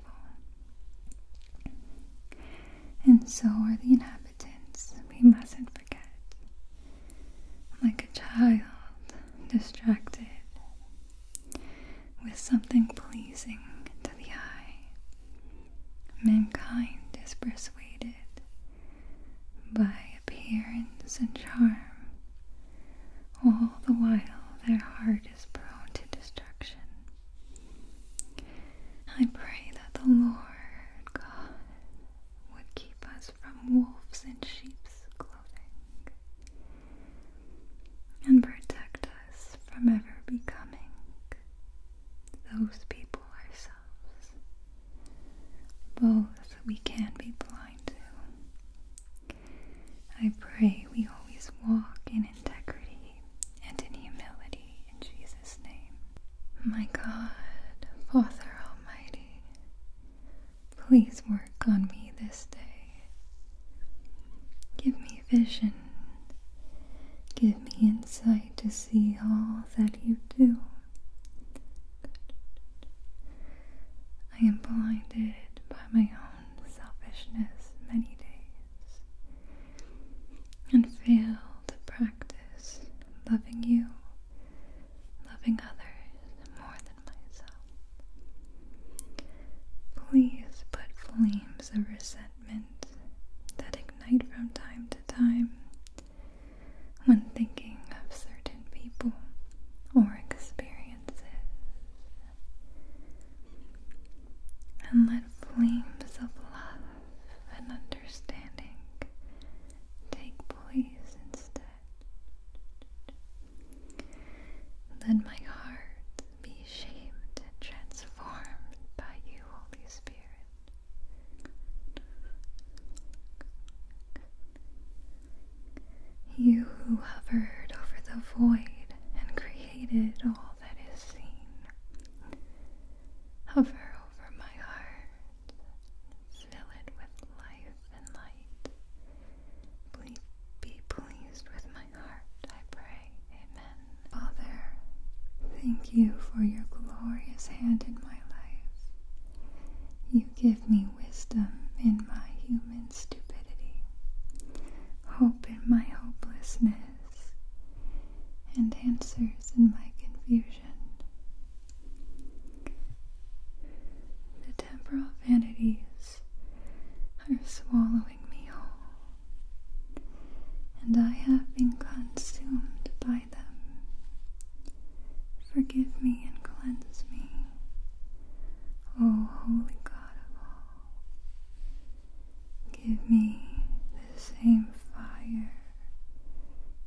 and so are the inhabitants. We mustn't forget. Like a child distracted with something pleasing to the eye, mankind is persuaded by appearance and charm. All the while, their heart is prone to destruction. I pray that the Lord God would keep us from wolves in sheep's clothing and protect us from ever becoming those people ourselves. Both we can be blind to. I pray we always walk in integrity and in humility in Jesus' name. My God, Father Almighty, please work on me this day. Give me vision. Give me insight to see all that you do. I am blinded by my own selfishness many days and fail to practice loving you, loving others more than myself. Please put flames of resentment that ignite from time to time when thinking of certain people or experiences. And let flames of love love and understanding. Take place instead. Let my heart be shaped and transformed by you, Holy Spirit. You who hovered over the void and created all that is seen. Hover over my heart. Fill it with life and light. be pleased with my heart, I pray. Amen. Father, thank you for your glorious hand in my life. You give me wisdom in my human stupidity, hope in my hopelessness and answers in my confusion. The temporal vanities are swallowing me whole, and I have been consumed by them. Forgive me and cleanse me, O Holy God of all. Give me the same fire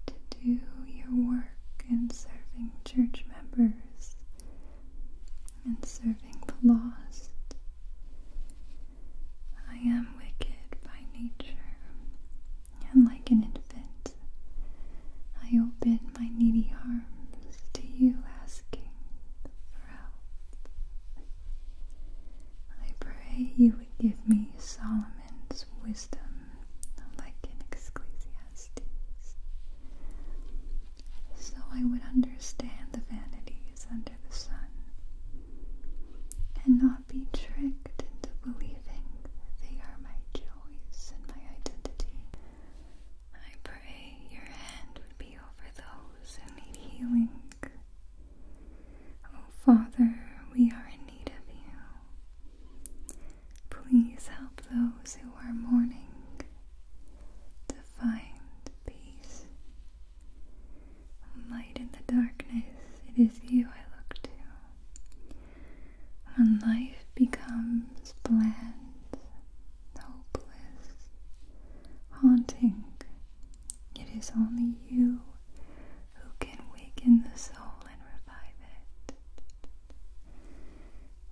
to do your work in serving church members and serving the lost. I am wicked by nature, and like an infant, I open my needy arms to you, asking for help. I pray you would give me solemn wisdom, like in Ecclesiastes. So I would understand the vanities under the sun, and not be tricked into believing they are my joys and my identity. I pray your hand would be over those who need healing Oh, Father, we are in need of you. Please help those who are mourning to find peace. Light in the darkness, it is you I look to. When life becomes bland, hopeless, haunting, it is only you who can waken the soul and revive it.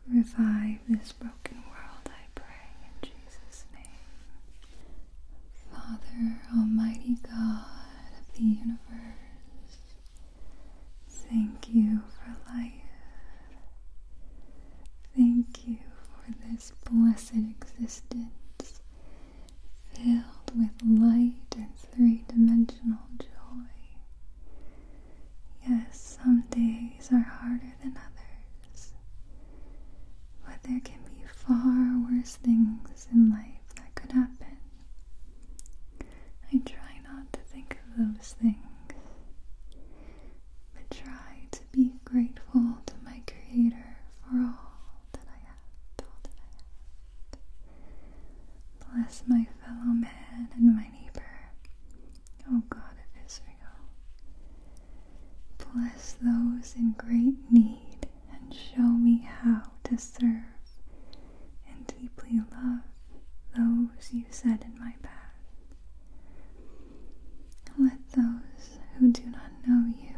Revive this broken world, I pray, in Jesus' name. Father, Almighty God of the universe, thank you for life. Thank you for this blessed existence filled with light and three dimensional joy. Yes, some days are harder than others, but there can be far worse things in life that could happen. I try not to think of those things. But try to be grateful to my Creator for all Bless my fellow man and my neighbor, O God of Israel. Bless those in great need and show me how to serve and deeply love those you set in my path. Let those who do not know you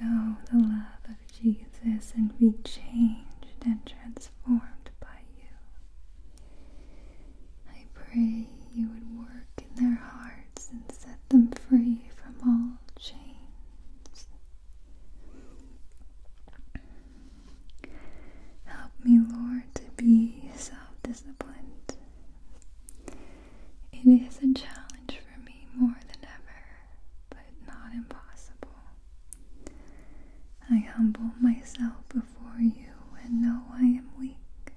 Know the love of Jesus and be changed and transformed by you. I pray you would work in their hearts and set them free from all chains. Help me, Lord, to be self disciplined. It is a challenge for me more than ever, but not impossible. I humble myself before you and know I am weak,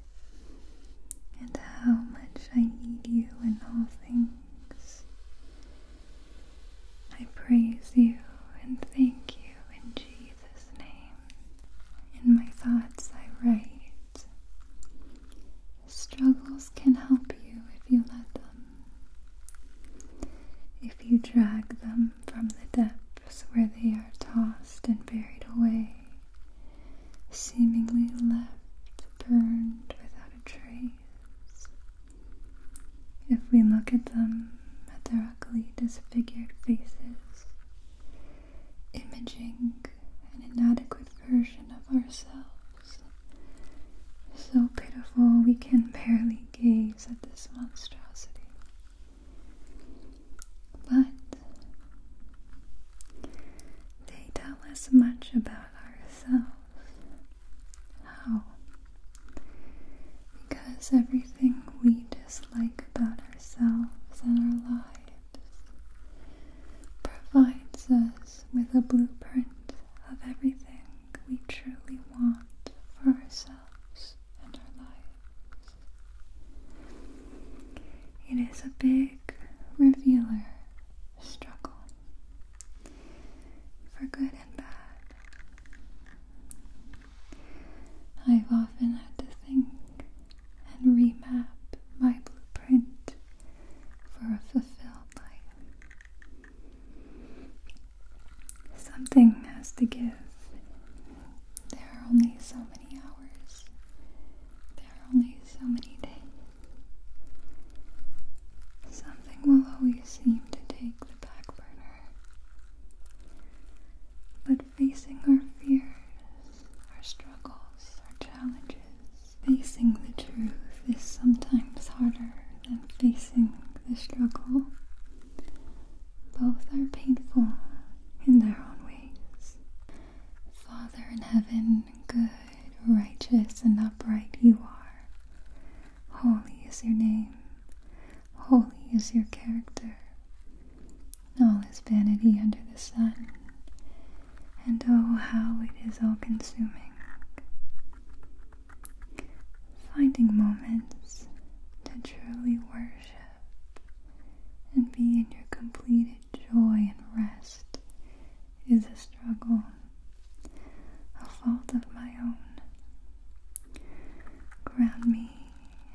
and how much I need you in all things. I praise you and thank you in Jesus' name. In my thoughts, I write. Struggles can help you if you let them. If you drag them from the depths where they are tossed and buried away, seemingly left burned without a trace. If we look at them, at their ugly, disfigured faces, imaging an inadequate version of ourselves. So pitiful we can barely gaze at this monstrosity. But they tell us much about ourselves. How? Because everything we dislike about ourselves and our lives provides us with a blueprint of everything we truly want for ourselves and our lives. It is a big revealer struggle for good and bad. I've often had to think and remap my blueprint for a fulfilled life. Something has to give. There are only so many hours. There are only so many days. Something will always seem to take the back burner. But facing our fears, our struggles, our challenges, Facing the truth is sometimes harder than facing the struggle. Both are painful in their own ways. Father in heaven, good, righteous, and upright you are. Holy is your name, holy is your character. All is vanity under the sun, and oh, how it is all consuming. Finding moments to truly worship and be in your completed joy and rest is a struggle, a fault of my own. Ground me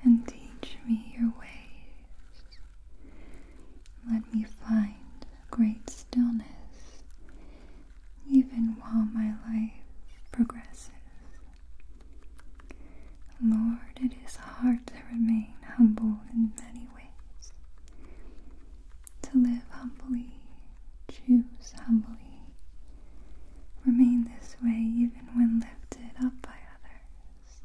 and teach me your ways. Let me find great stillness, even while my life progresses. Lord, it is hard to remain humble in many ways. To live humbly, choose humbly, remain this way even when lifted up by others.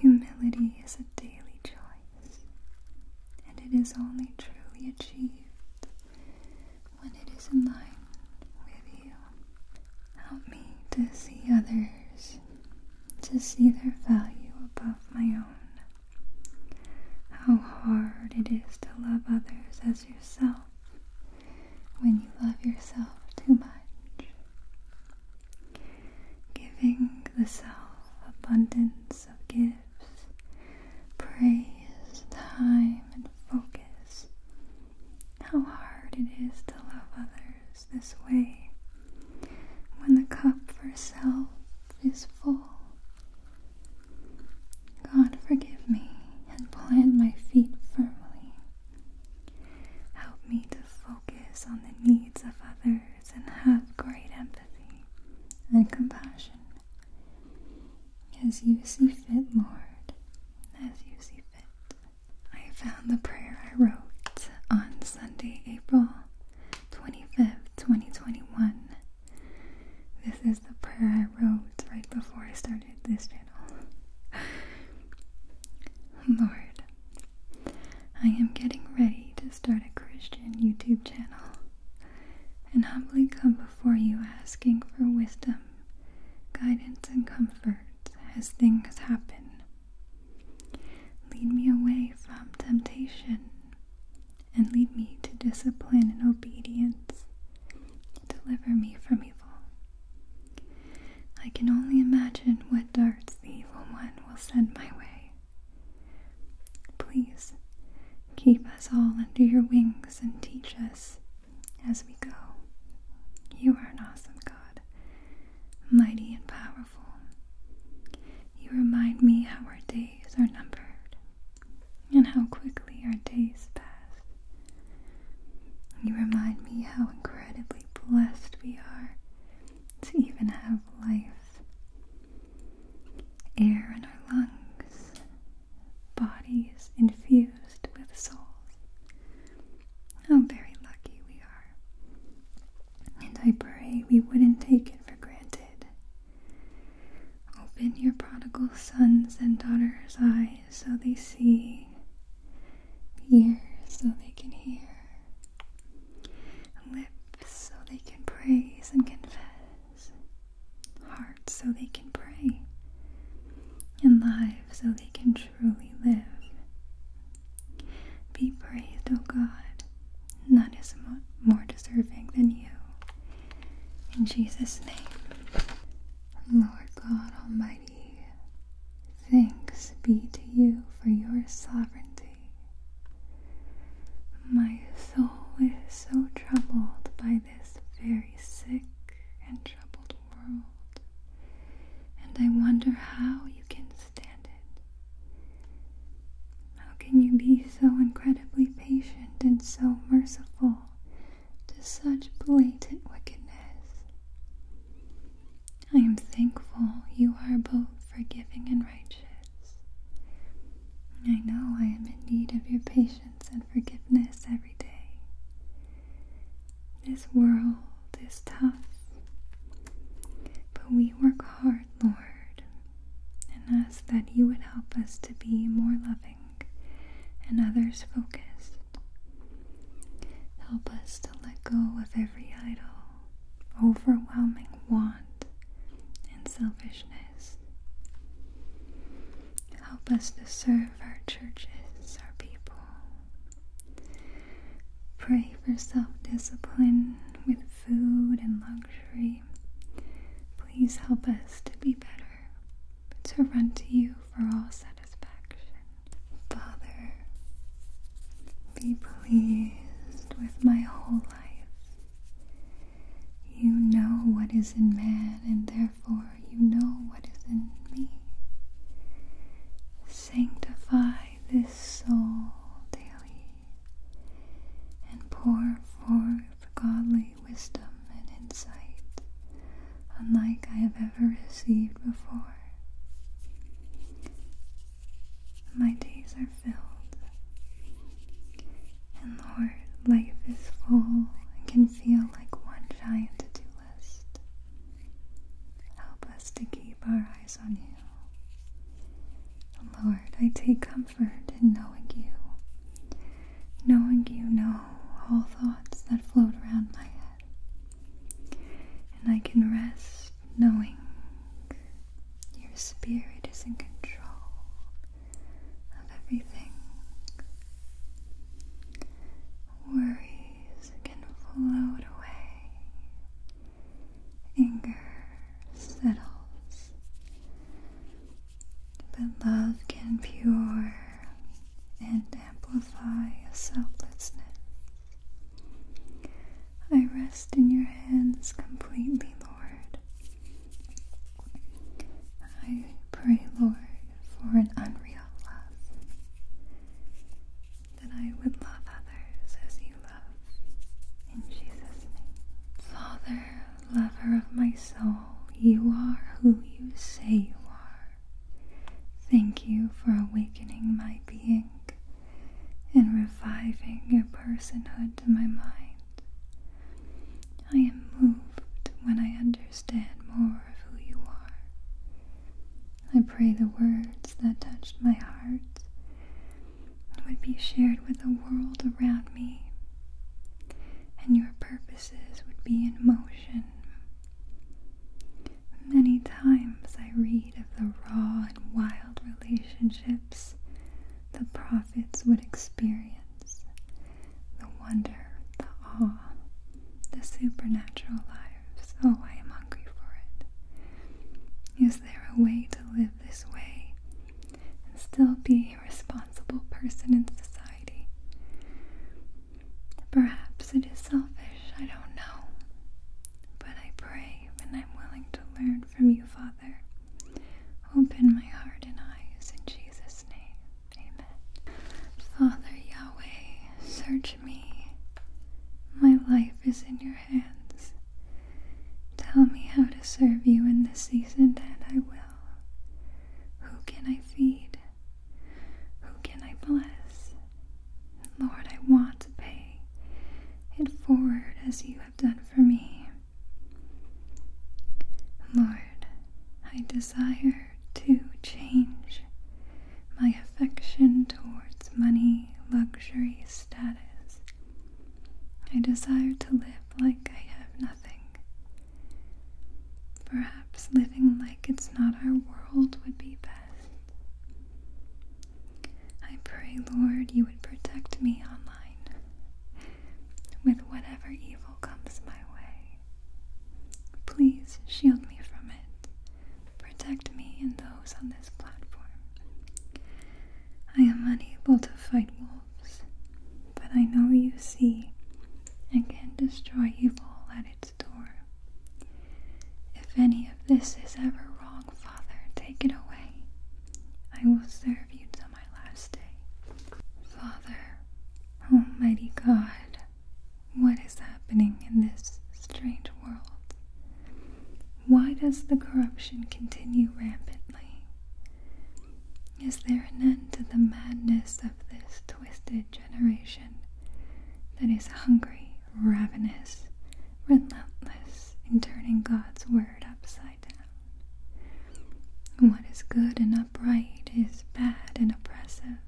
Humility is a daily joy and it is only truly achieved when it is in line with you. Help me to see others, to see their value above my own. How hard it is to love others as yourself when you love yourself too much. Giving the self abundance of gifts praise, time, and focus. How hard it is to love others this way. When the cup for self is full. God, forgive me and plant my feet firmly. Help me to focus on the needs of others and have great empathy and compassion as you see fit, Lord, as you see fit. I found the prayer I wrote on Sunday, April 25th, 2021. This is the prayer I wrote right before I started this channel. Lord, I am getting ready to start a Christian YouTube channel and humbly come before you asking for wisdom, guidance, and comfort as things happen. Lead me away from temptation and lead me to discipline and obedience. Deliver me from evil. I can only imagine what darts the evil one will send my way. Please keep us all under your wings and teach us as we go. You are an awesome God, mighty and powerful. You remind me how our days are numbered and how quickly our days pass. You remind me how incredibly blessed we are to even have life air in our lungs, bodies infused with soul. How very lucky we are. And I pray we wouldn't take it for granted. Open your prodigal sons and daughters' eyes so they see, ears so they can hear, Lips so they can praise and confess. Hearts so they can pray. And lives so they can truly live. Be praised, O God. None is more deserving than you. In Jesus' name. Lord God Almighty, thanks be to you for your sovereignty my soul is so troubled by this very sick and troubled world, and I wonder how you can stand it. How can you be so incredibly patient and so merciful to such blatant wickedness? I am thankful you are both forgiving and righteous. I know I am in need of your patience and forgiveness every day. This world is tough, but we work hard, Lord, and ask that you would help us to be more loving and others focused. Help us to let go of every idol, overwhelming want, and selfishness. Help us to serve our churches, our people. Pray for self discipline with food and luxury. Please help us to be better, to run to you for all satisfaction. Father, be pleased with my whole life. You know what is in man, and therefore you know what is in me. Sanctify this soul daily and pour forth godly wisdom and insight, unlike I have ever received before. My days are filled, and Lord, life is full and can feel like one giant to do list. Help us to keep our eyes on you. Lord, I take comfort in knowing you, knowing you know all thoughts that float around my head, and I can rest knowing your spirit is in control of everything. Worries can float away. Anger settles. But love can pure and amplify a selflessness. I rest in your hands completely, Lord. I pray, Lord, for an unreal love, that I would love others as you love. In Jesus' name. Father, lover of my soul, you are who you say you are. Thank you for awakening my being and reviving your personhood in my mind. I am moved when I understand more of who you are. I pray the words that touched my heart would be shared with the world around me, and your purposes would be in motion. Many times I read of the raw and wild relationships, the process prophets would experience the wonder, the awe, the supernatural lives. Oh, I am hungry for it. Is there a way to live this way and still be a responsible person in society? Perhaps it is selfish, I don't know. But I pray and I'm willing to learn from you, Father. Open my heart and eyes in Jesus' name. Amen. Father Yahweh, search me. My life is in your hands. Tell me how to serve you in this season, and I will. Who can I feed? Who can I bless? Lord, I want to pay it forward as you have done for me. Lord, I desire to change my affection towards money, luxury, status. I desire to live like I have nothing. Perhaps living like it's not our world would be best. I pray, Lord, you would protect me online with whatever evil comes my way. Please shield me from it. Protect me and those on this platform. I am unable to fight wolves, but I know you see and can destroy evil at its door. If any of this is ever wrong, Father, take it away. I will serve you my last day. Father, Almighty God, what is happening in this strange world? Why does the corruption continue rampantly? Is there an end to the madness of this twisted generation that is hungry, ravenous, relentless in turning God's word upside down? What is good and upright is bad and oppressive.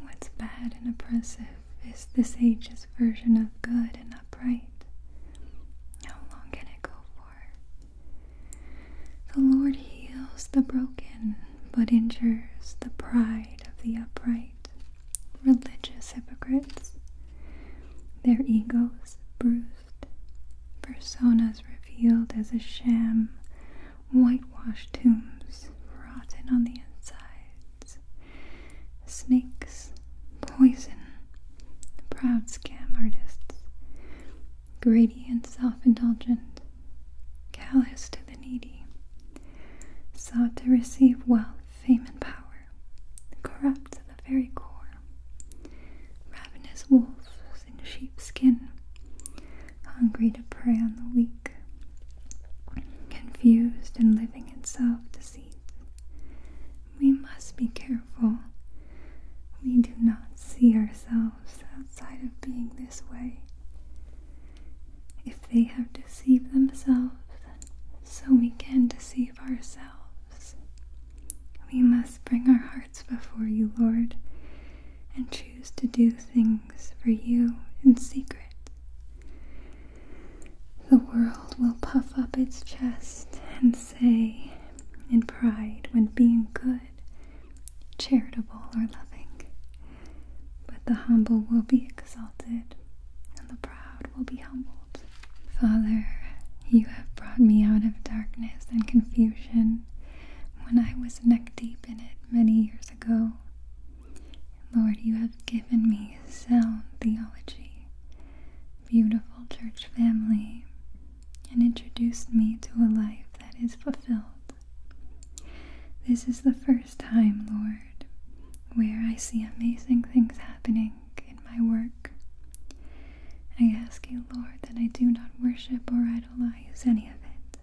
What's bad and oppressive is the sages' version of good and upright. How long can it go for? The Lord heals the broken, but injures the pride of the upright. Religious hypocrites. Their egos bruised Personas revealed as a sham, whitewashed tombs rotten on the inside. Snakes, poison, proud scam artists, greedy and self indulgent, callous to the needy, sought to receive wealth, fame, and power, corrupt to the very core. Ravenous wolves in sheepskin, hungry to prey on the weak, confused and living in self deceit. We must be careful. We do not see ourselves outside of being this way. If they have deceived themselves, so we can deceive ourselves. We must bring our hearts before you, Lord, and choose to do things for you in secret. The world will puff up its chest and say in pride when being good, charitable, or loving. But the humble will be exalted, and the proud will be humbled. Father, you have brought me out of darkness and confusion when I was neck deep in it many years ago. Lord, you have given me sound theology, beautiful church family, and introduced me to a life that is fulfilled. This is the first time, Lord, where I see amazing things happening in my work. I ask you, Lord, that I do not worship or idolize any of it.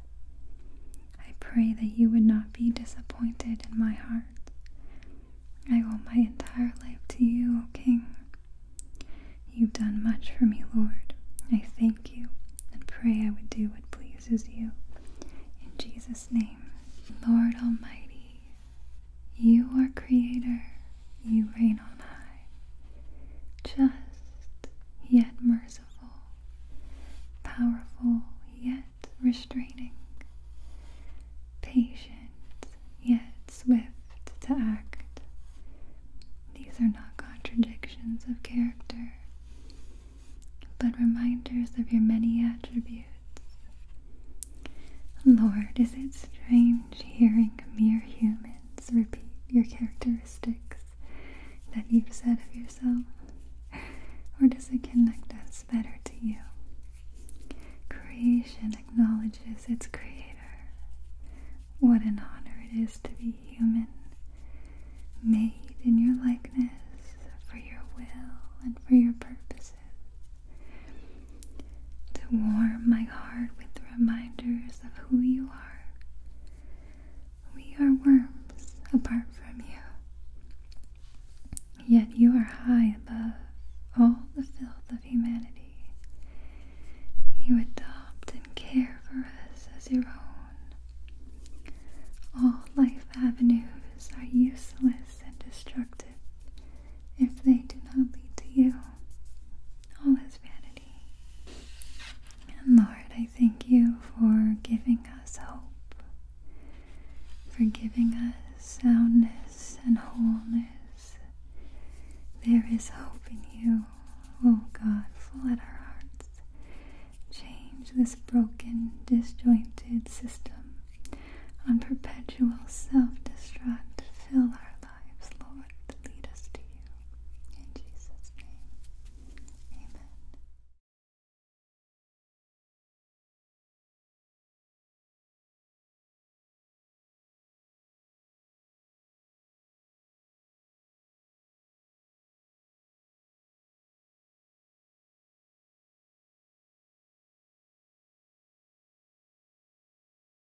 I pray that you would not be disappointed in my heart. I owe my entire life to you, O King. You've done much for me, Lord. I thank you and pray I would do what pleases you. In Jesus' name, Lord Almighty, you are creator, you reign on high, just yet merciful, powerful yet restraining, patient yet swift to act. These are not contradictions of character, but reminders of your many attributes. Lord, is it strange hearing a mere human? repeat your characteristics that you've said of yourself? Or does it connect us better to you? Creation acknowledges its creator. What an honor it is to be human, made in your likeness, for your will and for your purposes to warm my heart with reminders of who you are. We are worms apart from you, yet you are high above all the filth of humanity. You adopt and care for us as your own. All life avenues are useless and destructive if they do not lead to you all his vanity. And Lord, I thank you for giving us hope, for giving us soundness and wholeness. There is hope in you, O oh God, flood our hearts. Change this broken, disjointed system on perpetual self destruct. Fill our lives lives, Lord, lead us to you. In Jesus' name, amen.